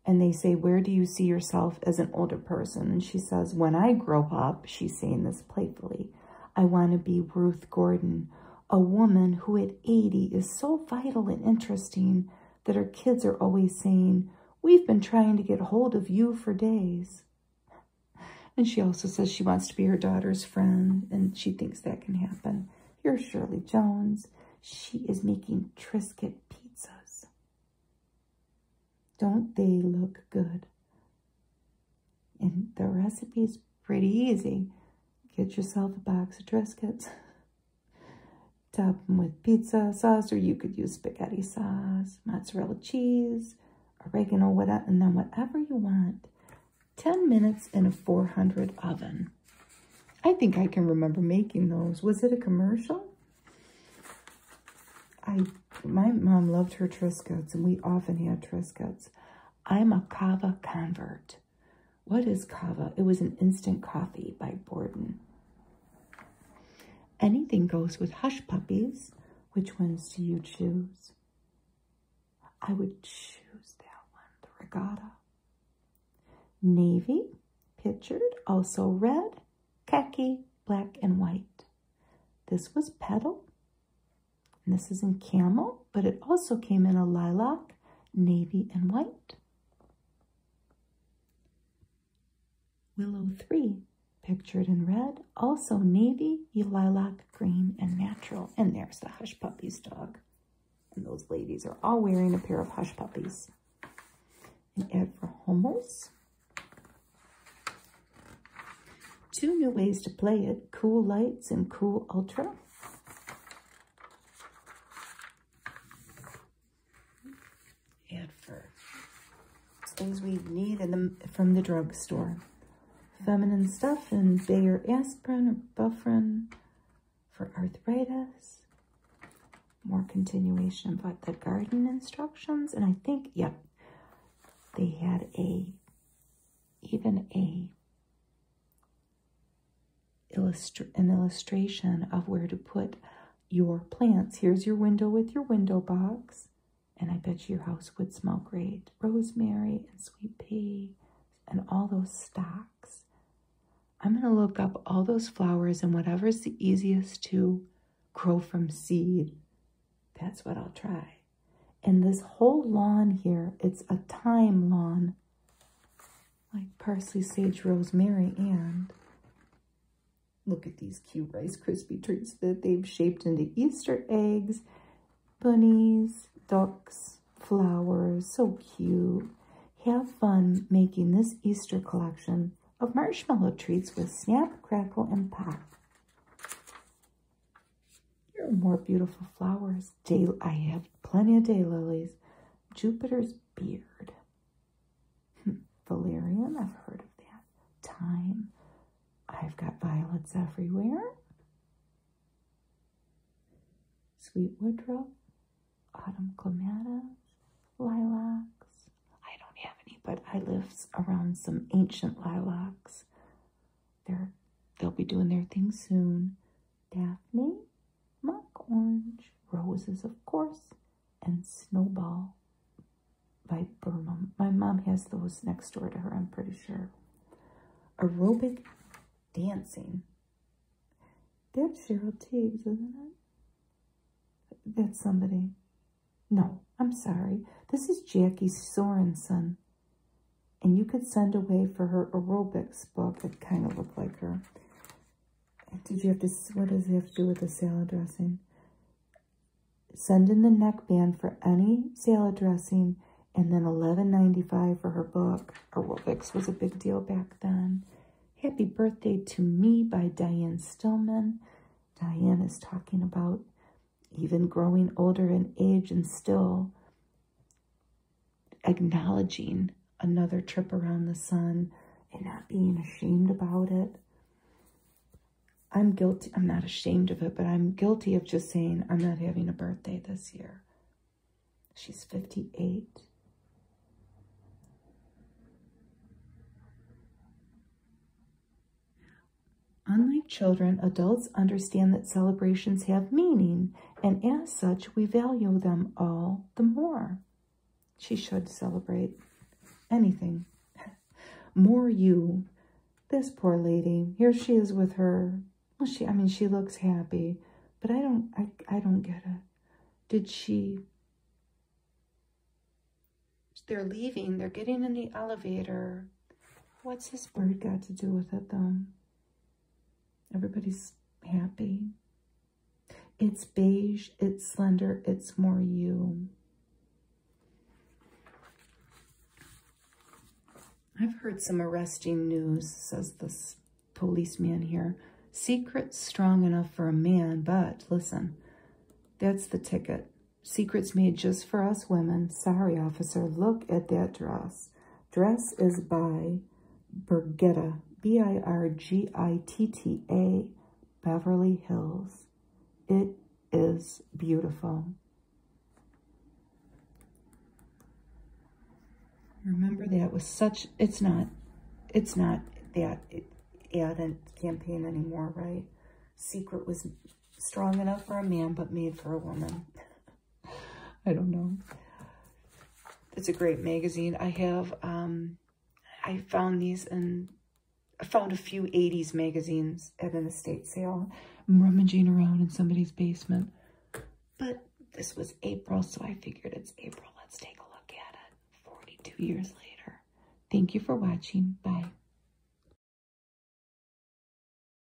And they say, where do you see yourself as an older person? And she says, when I grow up, she's saying this playfully, I want to be Ruth Gordon, a woman who at 80 is so vital and interesting that her kids are always saying, We've been trying to get hold of you for days. And she also says she wants to be her daughter's friend, and she thinks that can happen. You're Shirley Jones. She is making Triscuit pizzas. Don't they look good? And the recipe is pretty easy. Get yourself a box of Triscuits. Top them with pizza sauce, or you could use spaghetti sauce, mozzarella cheese, oregano, whatever, and then whatever you want. 10 minutes in a 400 oven. I think I can remember making those. Was it a commercial? I my mom loved her Triscuits, and we often had Triscuits. I'm a Kava convert. What is Kava? It was an instant coffee by Borden. Anything goes with Hush Puppies. Which ones do you choose? I would choose that one, the regatta. Navy, pictured, also red, khaki, black, and white. This was pedal this is in camel, but it also came in a lilac, navy, and white. Willow 3, pictured in red, also navy, lilac, green, and natural. And there's the Hush Puppies dog. And those ladies are all wearing a pair of Hush Puppies. And Ed for Homers. Two new ways to play it, Cool Lights and Cool Ultra. And for things we need the, from the drugstore. Feminine stuff and Bayer aspirin or Bufferin for arthritis. More continuation about the garden instructions. And I think, yep, they had a even a illustra- an illustration of where to put your plants. Here's your window with your window box. And I bet your house would smell great. Rosemary and sweet pea and all those stocks. I'm going to look up all those flowers and whatever's the easiest to grow from seed, that's what I'll try. And this whole lawn here, it's a time lawn, like parsley, sage, rosemary, and look at these cute Rice Krispie treats that they've shaped into Easter eggs, bunnies, ducks, flowers, so cute. Have fun making this Easter collection of marshmallow treats with snap, crackle, and pop you are more beautiful flowers. Day I have plenty of daylilies. Jupiter's beard. Hmm. Valerian, I've heard of that. Thyme. I've got violets everywhere. Sweet woodruff, autumn clematis, lilacs. I don't have any, but I live around some ancient lilacs they're they'll be doing their thing soon. Daphne, Mock Orange, Roses, of course, and Snowball by Burma. My mom has those next door to her, I'm pretty sure. Aerobic dancing. That's Cheryl Teagues, isn't it? That's somebody. No, I'm sorry. This is Jackie Sorensen. And you could send away for her aerobics book. It kind of looked like her. Did you have to, what does it have to do with the salad dressing? Send in the neckband for any salad dressing and then eleven ninety five for her book. Aerobics was a big deal back then. Happy Birthday to Me by Diane Stillman. Diane is talking about even growing older in age and still acknowledging another trip around the sun and not being ashamed about it. I'm guilty, I'm not ashamed of it, but I'm guilty of just saying, I'm not having a birthday this year. She's 58. Unlike children, adults understand that celebrations have meaning, and as such, we value them all the more. She should celebrate anything. more you. This poor lady, here she is with her. Well, she, I mean, she looks happy, but I don't, I, I don't get it. Did she, they're leaving, they're getting in the elevator. What's this bird got to do with it, though? Everybody's happy. It's beige, it's slender, it's more you. I've heard some arresting news, says this policeman here. Secrets strong enough for a man, but listen, that's the ticket. Secrets made just for us women. Sorry, officer, look at that dress. Dress is by Birgitta, B-I-R-G-I-T-T-A, Beverly Hills. It is beautiful. Remember that was such, it's not, it's not that ad campaign anymore, right? Secret was strong enough for a man, but made for a woman. I don't know. It's a great magazine. I have, um, I found these and I found a few 80s magazines at an estate sale. I'm rummaging around in somebody's basement. But this was April, so I figured it's April. Let's take a look at it 42 years later. Thank you for watching. Bye.